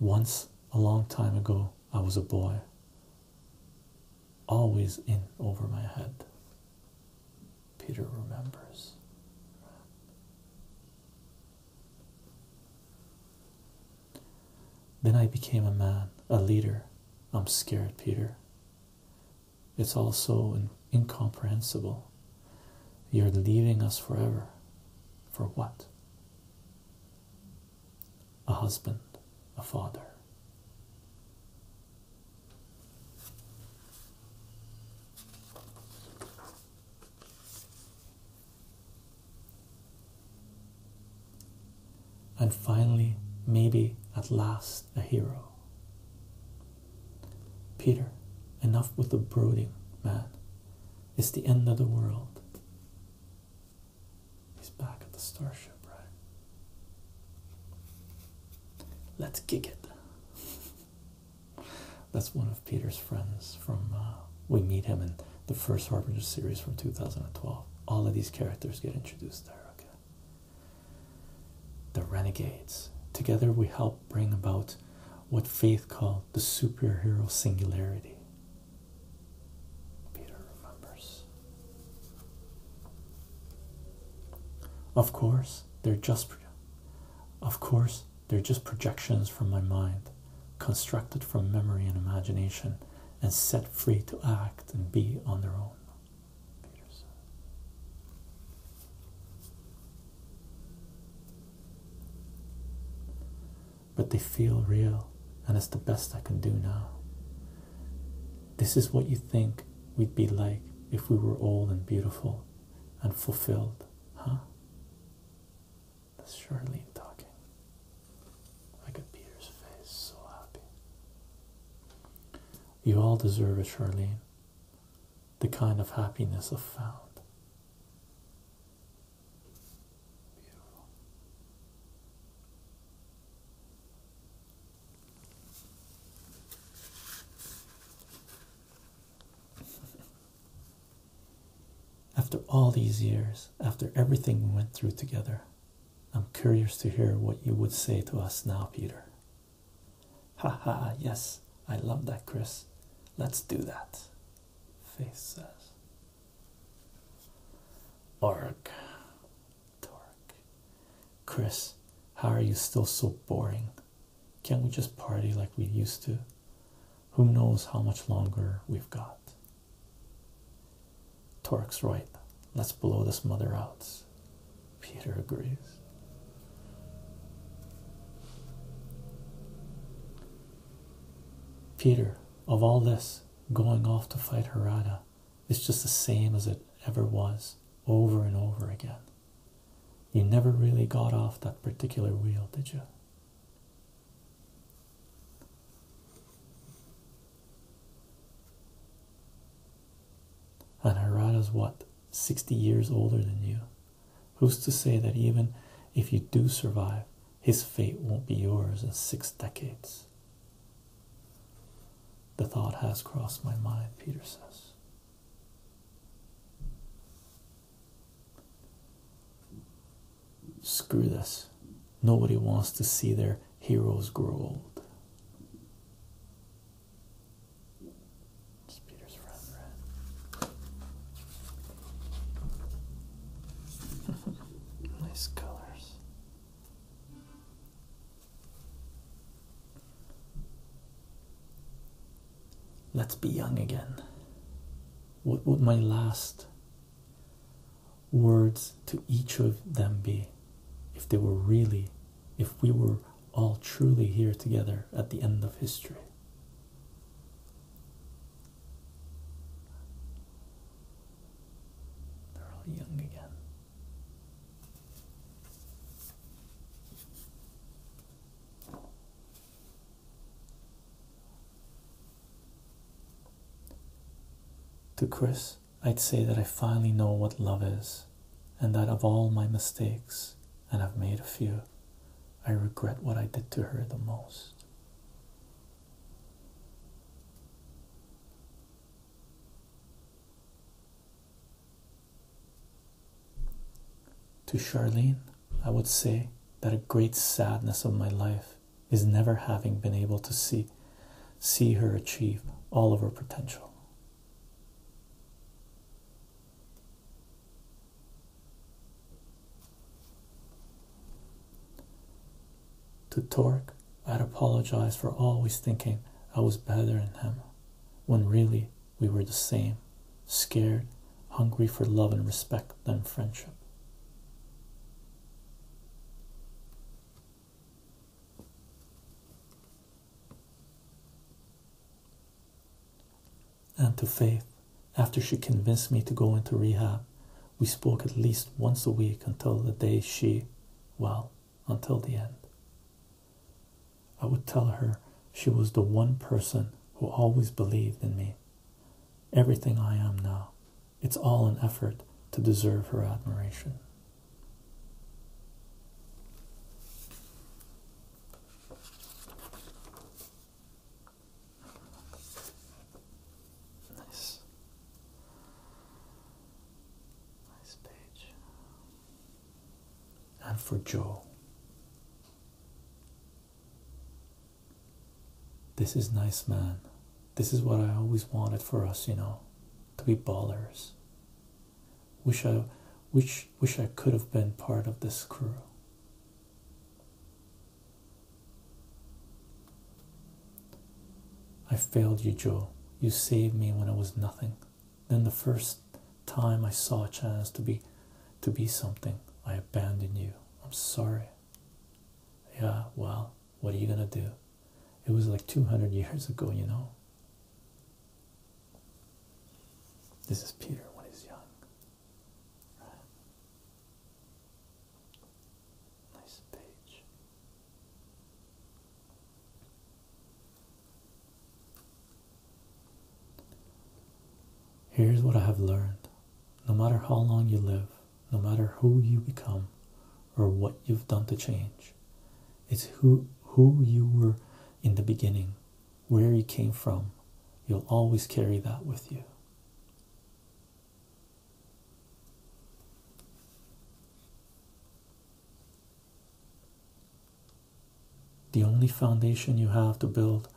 Once, a long time ago, I was a boy, always in over my head. Peter remembers. Then I became a man, a leader. I'm scared, Peter. It's all so incomprehensible. You're leaving us forever. For what? A husband, a father. And finally, maybe at last, a hero. Peter, enough with the brooding, man. It's the end of the world. He's back at the starship, right? Let's gig it. [laughs] That's one of Peter's friends from uh, we meet him in the first *Harper* series from 2012. All of these characters get introduced there. Okay. The Renegades. Together we help bring about what faith called the superhero singularity. Peter remembers. Of course, they're just of course, they're just projections from my mind, constructed from memory and imagination and set free to act and be on their own. But they feel real, and it's the best I can do now. This is what you think we'd be like if we were old and beautiful and fulfilled, huh? That's Charlene talking. I at Peter's face, so happy. You all deserve it, Charlene the kind of happiness I've found. After all these years, after everything we went through together, I'm curious to hear what you would say to us now, Peter. Ha ha, yes, I love that, Chris. Let's do that. Face says. Org. Torque. Chris, how are you still so boring? Can't we just party like we used to? Who knows how much longer we've got? Torque's right. Let's blow this mother out. Peter agrees. Peter, of all this, going off to fight Harada is just the same as it ever was, over and over again. You never really got off that particular wheel, did you? And Harada's what? 60 years older than you. Who's to say that even if you do survive, his fate won't be yours in six decades? The thought has crossed my mind, Peter says. Screw this. Nobody wants to see their heroes grow old. It's Peter's friend, [laughs] nice colors. Let's be young again. What would my last words to each of them be if they were really, if we were all truly here together at the end of history? They're all young again. To Chris, I'd say that I finally know what love is, and that of all my mistakes, and I've made a few, I regret what I did to her the most. To Charlene, I would say that a great sadness of my life is never having been able to see see her achieve all of her potential. To Torque, I'd apologize for always thinking I was better than him, when really we were the same, scared, hungry for love and respect than friendship and to Faith after she convinced me to go into rehab. We spoke at least once a week until the day she, well, until the end. I would tell her she was the one person who always believed in me. Everything I am now, it's all an effort to deserve her admiration. Nice. Nice page. And for Joe. This is nice, man. This is what I always wanted for us, you know, to be ballers. Wish I, wish, wish I could have been part of this crew. I failed you, Joe. You saved me when I was nothing. Then the first time I saw a chance to be to be something, I abandoned you. I'm sorry. Yeah, well, what are you gonna do? It was like 200 years ago, you know. This is Peter when he's young. Nice page. Here's what I have learned. No matter how long you live, no matter who you become or what you've done to change, it's who who you were in the beginning, where you came from. You'll always carry that with you. The only foundation you have to build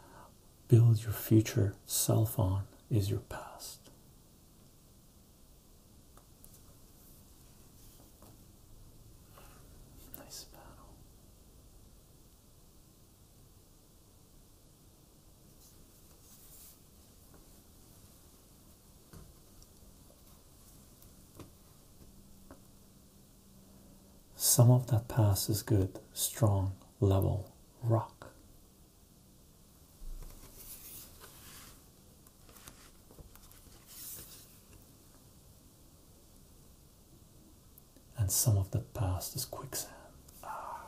build your future self on is your past. Nice panel. Some of that pass is good, strong, level, rock and some of the past is quicksand. Ah.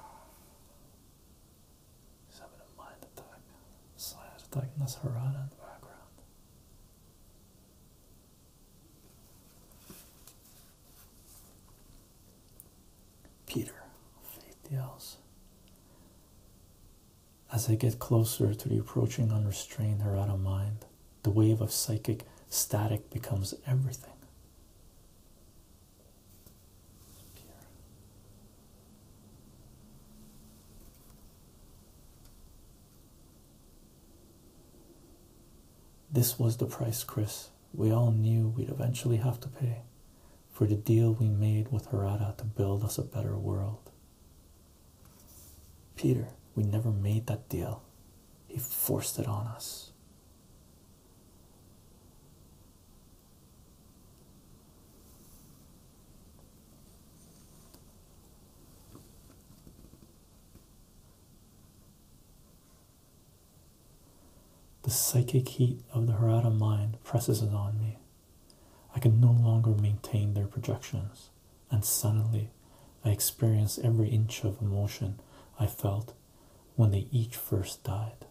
He's having a mind attack, slash attack, and that's in the background. Peter, faith yells. As I get closer to the approaching unrestrained Harada mind, the wave of psychic static becomes everything. This was the price, Chris. We all knew we'd eventually have to pay for the deal we made with Harada to build us a better world. Peter, we never made that deal. He forced it on us. The psychic heat of the Harada mind presses on me. I can no longer maintain their projections, and suddenly I experience every inch of emotion I felt when they each first died.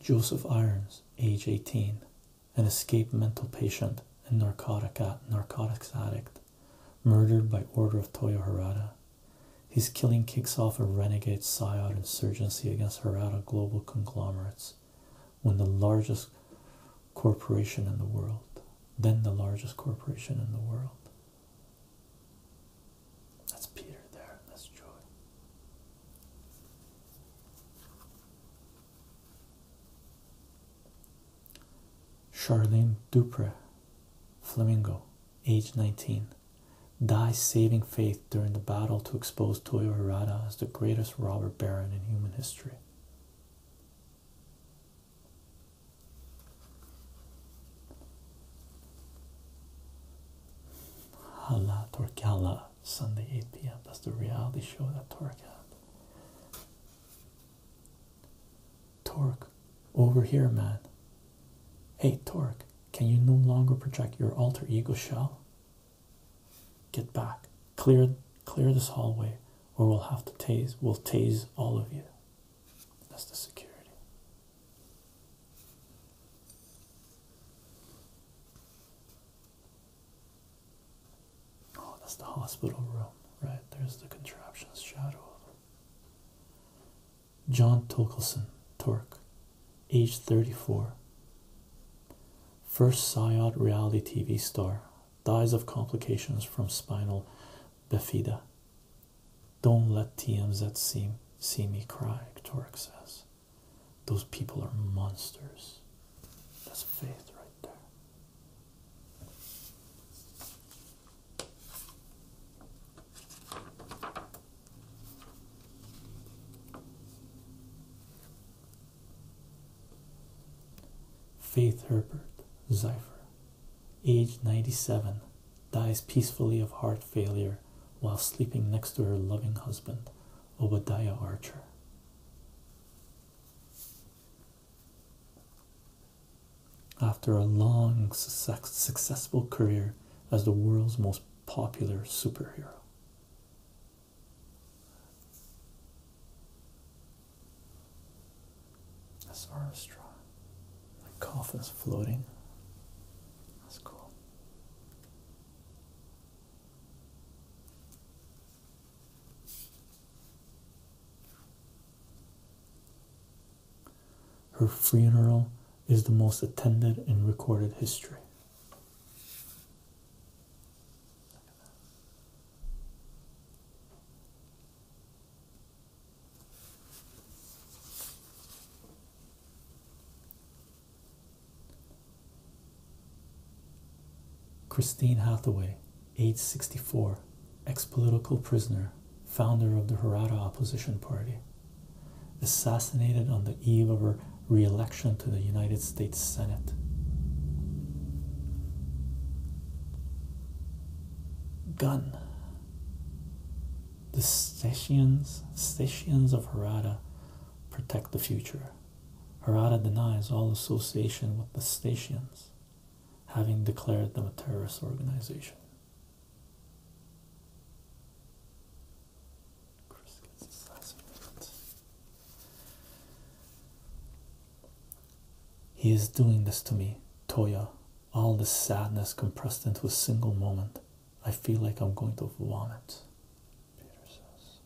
Joseph Irons, age 18, an escaped mental patient and uh, narcotics addict, murdered by order of Toyo his killing kicks off a renegade psyod insurgency against Harada global conglomerates, when the largest corporation in the world, then the largest corporation in the world. That's Peter there, that's Joy, Charlene Dupre Flamingo, age 19, dies saving Faith during the battle to expose Toyo Harada as the greatest robber baron in human history. Hala Torkala, Sunday 8 p.m. That's the reality show that Tork Torque, over here, man. Hey, Torque, can you no longer project your alter ego shell? Get back. Clear clear this hallway, or we'll have to tase we'll tase all of you. That's the security. Oh, that's the hospital room, right? There's the contraption's shadow John Torkelson, Torque, age 34. First Syod reality TV star, dies of complications from spinal bifida. Don't let TMZ see, see me cry, Torque says. Those people are monsters. That's faith right there. Faith Herbert, Zypher, age 97, dies peacefully of heart failure while sleeping next to her loving husband, Obadiah Archer. After a long, successful career as the world's most popular superhero, that's Armstrong. My coffin's floating. That's cool. Her funeral is the most attended in recorded history. Christine Hathaway, age 64, ex political prisoner founder of the Harada opposition party, assassinated on the eve of her re-election to the United States Senate. Gun. The Stations, Stations of Harada protect the future. Harada denies all association with the Stations, having declared them a terrorist organization. Chris gets assassinated. He is doing this to me, Toya. All the sadness compressed into a single moment. I feel like I'm going to vomit. Peter says.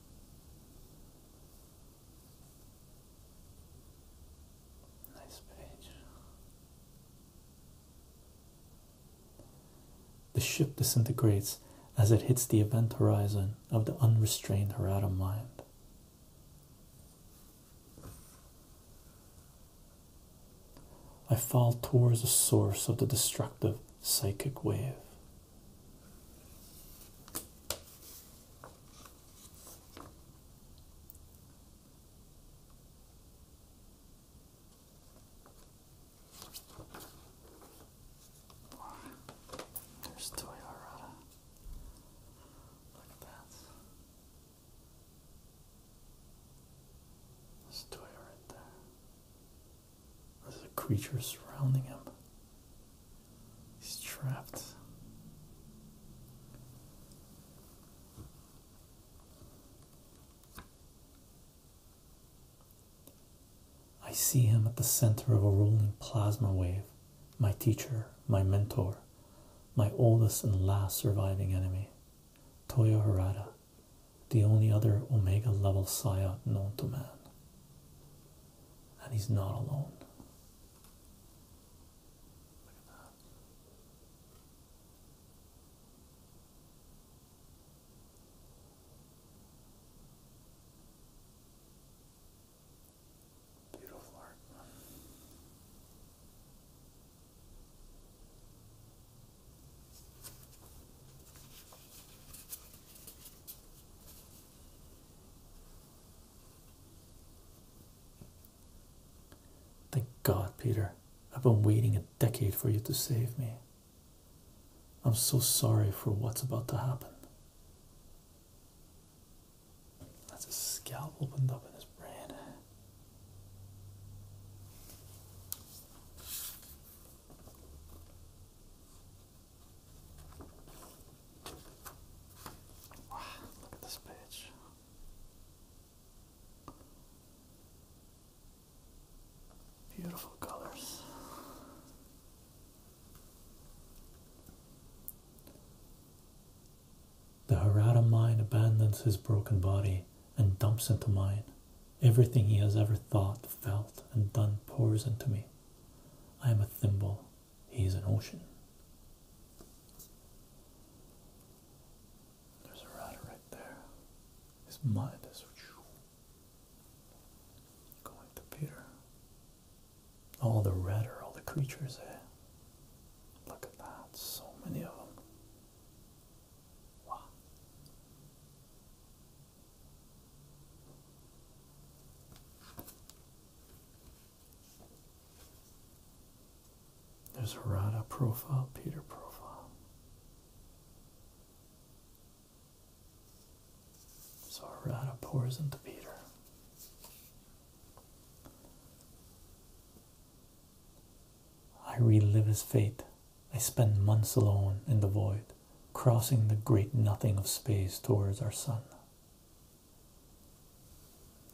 Nice page. The ship disintegrates as it hits the event horizon of the unrestrained Harada mind. I fall towards the source of the destructive psychic wave. There's Toyarada. Look at that. There's Toya right there. There's a creature surrounding him. He's trapped. I see him at the center of a rolling plasma wave, my teacher, my mentor, my oldest and last surviving enemy, Toyo Harada, the only other Omega level Saya known to man. And he's not alone. Beautiful Thank God, Peter. I've been waiting decade for you to save me. I'm so sorry for what's about to happen. That's a scalp opened up in his brain. Wow, look at this page. Beautiful colors. The Harada mind abandons his broken body and dumps into mine. Everything he has ever thought, felt, and done pours into me. I am a thimble, he is an ocean. There's a rat right there. His mind is going to Peter. All the redder, all the creatures, there. Look at that, so many of them. Wow. There's Rada profile, Peter profile. So Rada pours into Peter. I relive his fate. I spend months alone in the void, crossing the great nothing of space towards our sun.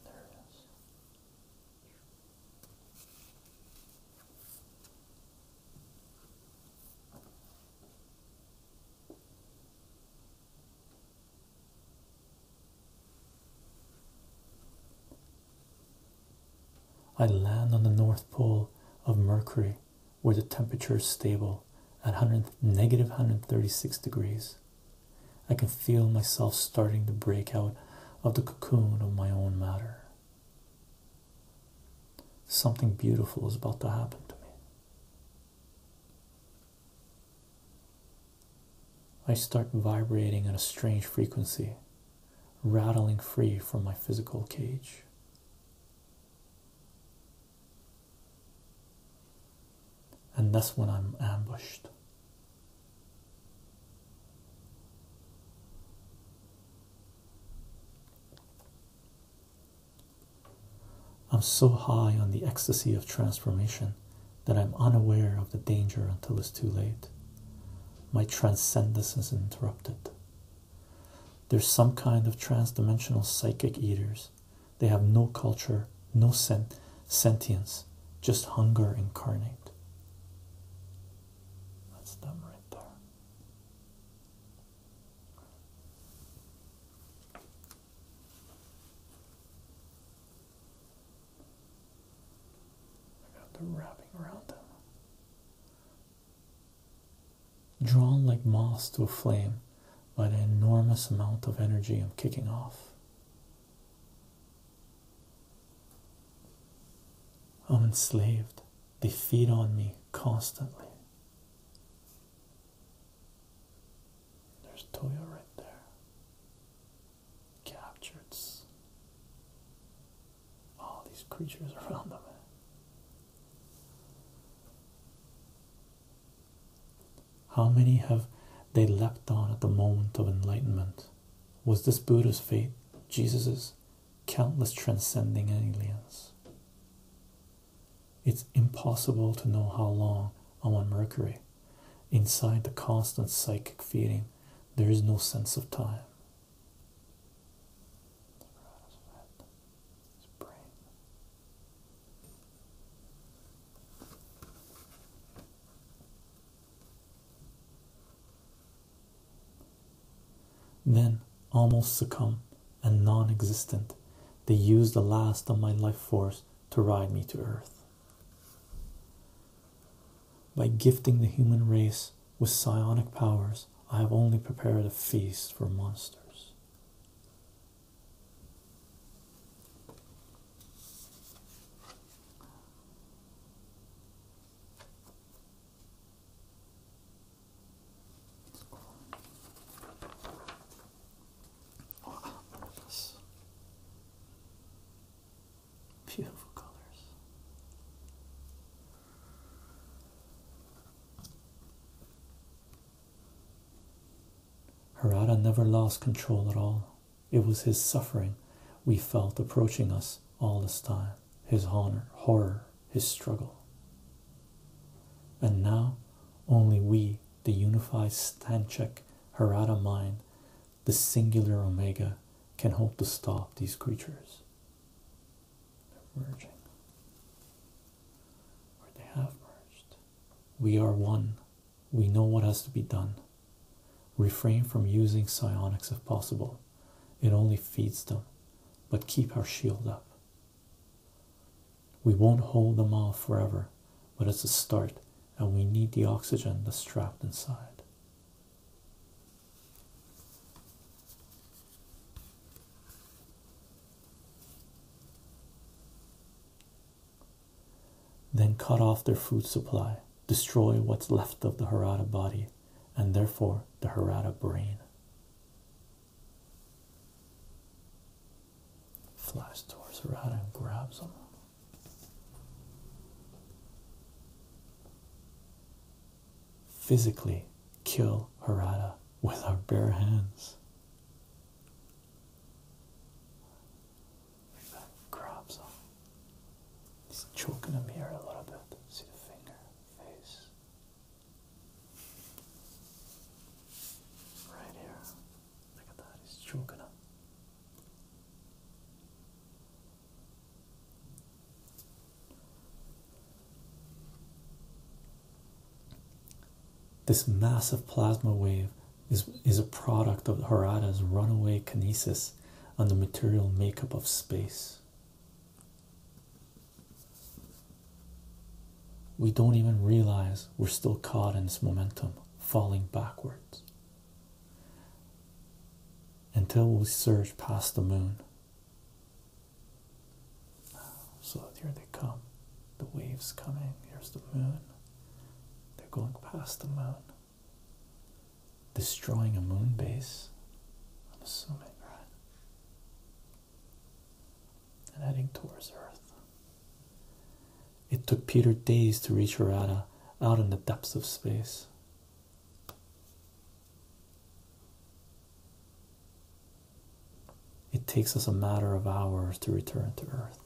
There it is. I land on the North Pole of Mercury where the temperature is stable at 136 degrees. I can feel myself starting to break out of the cocoon of my own matter. Something beautiful is about to happen to me. I start vibrating at a strange frequency, rattling free from my physical cage. And that's when I'm ambushed. I'm so high on the ecstasy of transformation that I'm unaware of the danger until it's too late. My transcendence is interrupted. There's some kind of transdimensional psychic eaters. They have no culture, no sen sentience, just hunger incarnate. That's them right there. I got the wrapping around them. Drawn like moths to a flame by the enormous amount of energy I'm kicking off. I'm enslaved they feed on me constantly. There's Toya right there. Captured. All these creatures [laughs] around them. How many have they leapt on at the moment of enlightenment? Was this Buddha's fate, Jesus's, countless transcending aliens. It's impossible to know how long I'm on Mercury. Inside the constant psychic feeling, there is no sense of time. Then, almost succumb and non existent, they used the last of my life force to ride me to earth. By gifting the human race with psionic powers, I have only prepared a feast for monsters. Beautiful colors. Harada never lost control at all. It was his suffering we felt approaching us all this time his honor, horror, his struggle. And now only we, the unified Stanchek Harada mind, the singular Omega, can hope to stop these creatures. They're merging. Or they have merged. We are one. We know what has to be done. Refrain from using psionics if possible. It only feeds them. But keep our shield up. We won't hold them off forever, but it's a start, and we need the oxygen that's trapped inside. Then cut off their food supply, destroy what's left of the Harada body, and therefore the Harada brain. Flies towards Harada and grabs him. Physically kill Harada with our bare hands. Grabs him. He's choking him here a little bit. See the finger, face, Right here. Look at that, he's choking up. This massive plasma wave is, is a product of Harada's runaway kinesis on the material makeup of space. We don't even realize we're still caught in this momentum, falling backwards until we surge past the moon. So here they come, the waves coming. Here's the moon. They're going past the moon, destroying a moon base. I'm assuming, right? and heading towards Earth. It took Peter days to reach Harada out in the depths of space. It takes us a matter of hours to return to Earth.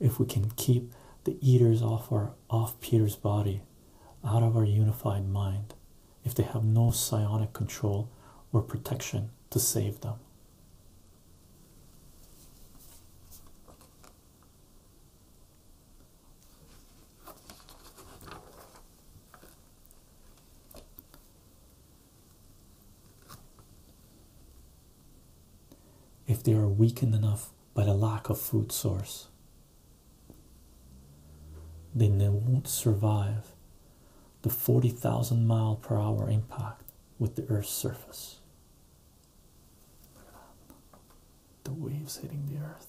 If we can keep the eaters off our off Peter's body, out of our unified mind, if they have no psionic control or protection to save them if they are weakened enough by the lack of food source. Then they won't survive the 40,000 mile per hour impact with the Earth's surface. Look at that. The waves hitting the Earth.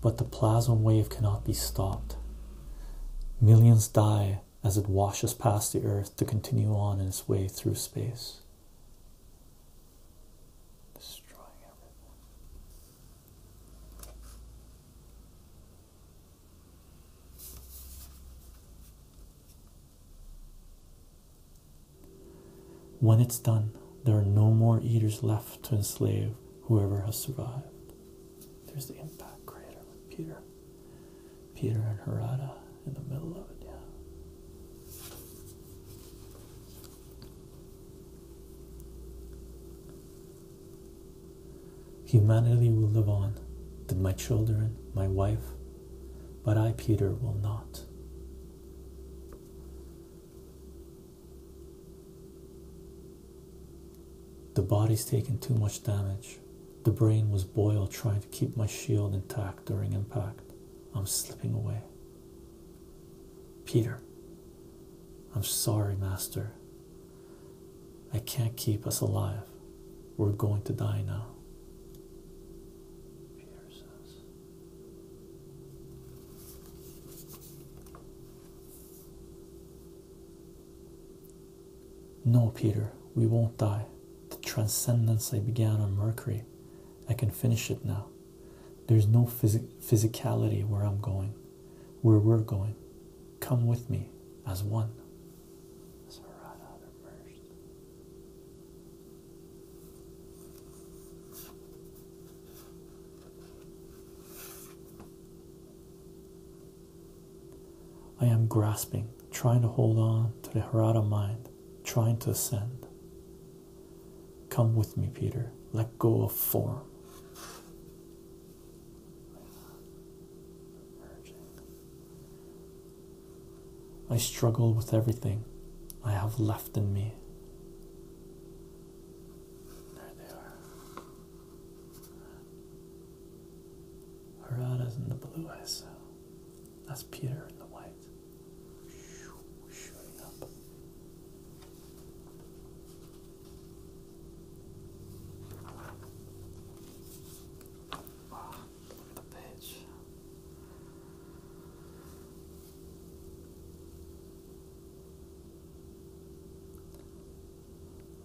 But the plasma wave cannot be stopped. Millions die as it washes past the Earth to continue on in its way through space. Destroying everything. When it's done, there are no more eaters left to enslave whoever has survived. There's the impact crater with Peter. Peter and Harada in the middle of it, yeah. Humanity will live on, did my children, my wife, but I, Peter, will not. The body's taken too much damage. The brain was boiled trying to keep my shield intact during impact. I'm slipping away. Peter, I'm sorry, Master. I can't keep us alive. We're going to die now. No, Peter, we won't die. The transcendence I began on Mercury, I can finish it now. There's no physicality where I'm going where we're going. Come with me as one. I am grasping, trying to hold on to the Harada mind, trying to ascend. Come with me, Peter. Let go of form. I struggle with everything I have left in me. There they are. Harada's in the blue I saw. That's Peter in the white. Shooting up.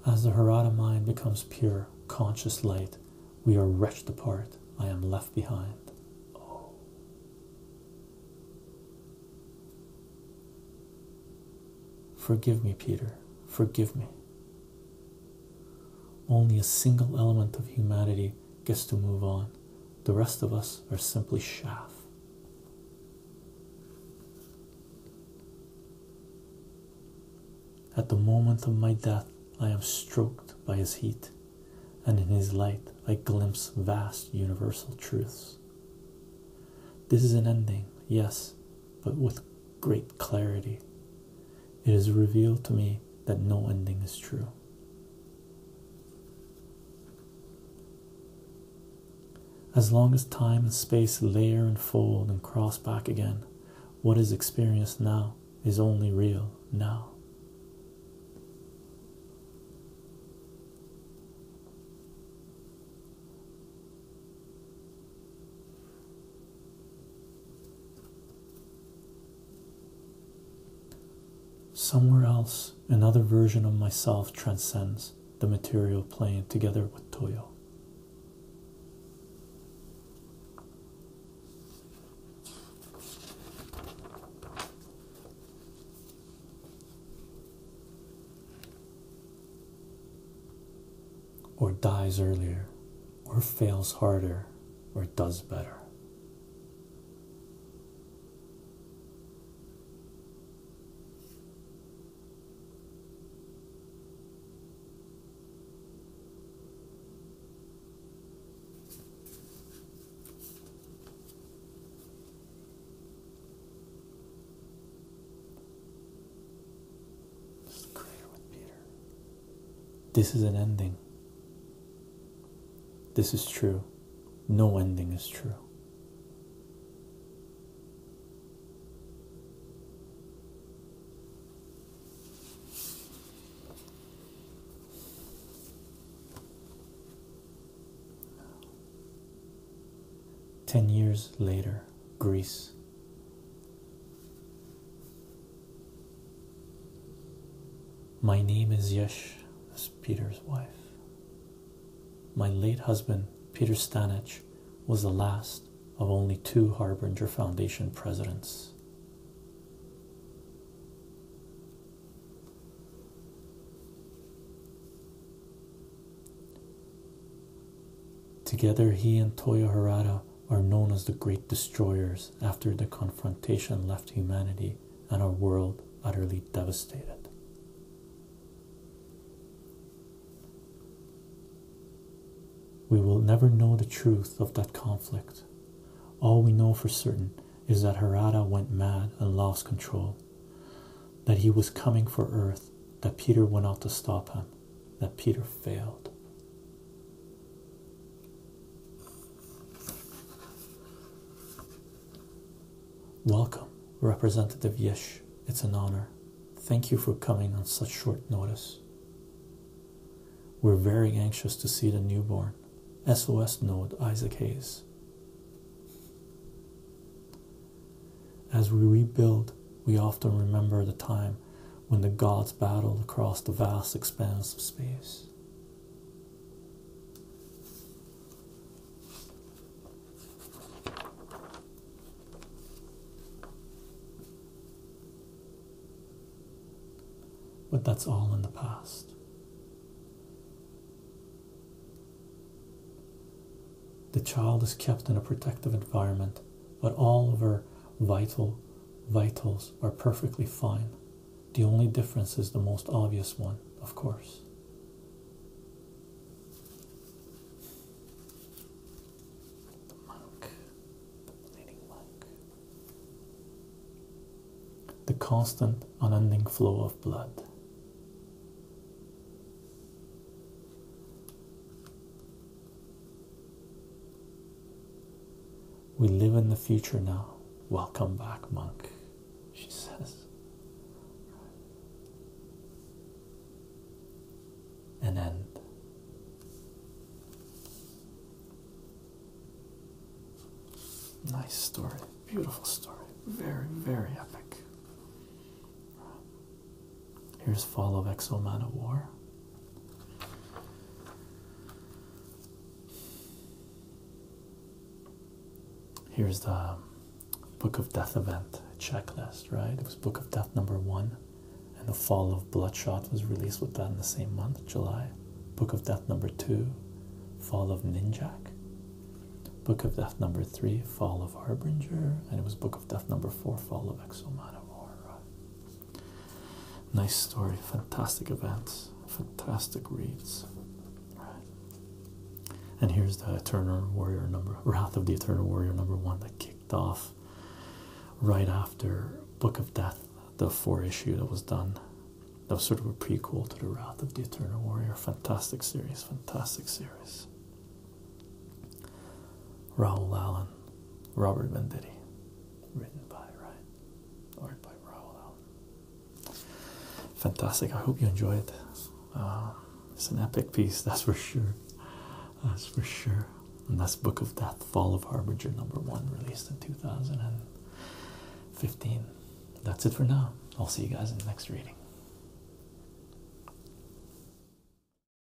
As the Harada mind becomes pure, conscious light, we are wrenched apart. I am left behind. Oh. Forgive me, Peter, forgive me. Only a single element of humanity gets to move on. The rest of us are simply chaff. At the moment of my death, I am stroked by his heat, and in his light, I glimpse vast universal truths. This is an ending, yes, but with great clarity. It is revealed to me that no ending is true. As long as time and space layer and fold and cross back again, what is experienced now is only real now. Somewhere else, another version of myself transcends the material plane together with Toyo or dies earlier or fails harder or does better. This is an ending. This is true. No ending is true. Ten years later, Greece. My name is Yesh, that's Peter's wife. My late husband, Peter Stanich, was the last of only two Harbinger Foundation presidents. Together, he and Toyo Harada are known as the Great Destroyers after the confrontation left humanity and our world utterly devastated. We will never know the truth of that conflict. All we know for certain is that Harada went mad and lost control, that he was coming for Earth, that Peter went out to stop him, that Peter failed. Welcome, Representative Yesh. It's an honor. Thank you for coming on such short notice. We're very anxious to see the newborn. SOS node Isaac Hayes. As we rebuild, we often remember the time when the gods battled across the vast expanse of space. But that's all in the past. The child is kept in a protective environment, but all of her vitals are perfectly fine. The only difference is the most obvious one, of course. The monk, the bleeding monk. The constant, unending flow of blood. We live in the future now. Welcome back, monk, she says. An end. Nice story, beautiful story, very, very epic. Here's Fall of Exo War. Here's the Book of Death event checklist, right? It was Book of Death number one, and the Fall of Bloodshot was released with that in the same month, July. Book of Death number two, Fall of Ninjak. Book of Death number three, Fall of Harbinger, and it was Book of Death number four, Fall of Exo War, Nice story, fantastic events, fantastic reads. And here's the Eternal Warrior number, Wrath of the Eternal Warrior number one that kicked off right after Book of Death, the four issue that was done. That was sort of a prequel to the Wrath of the Eternal Warrior. Fantastic series, fantastic series. Raul Allen, Robert Venditti, written by Ryan, art by Raul Allen. Fantastic! I hope you enjoy it. Um, it's an epic piece, [laughs] that's for sure. That's for sure. And that's Book of Death, Fall of Harbinger, number one, released in 2015. That's it for now. I'll see you guys in the next reading.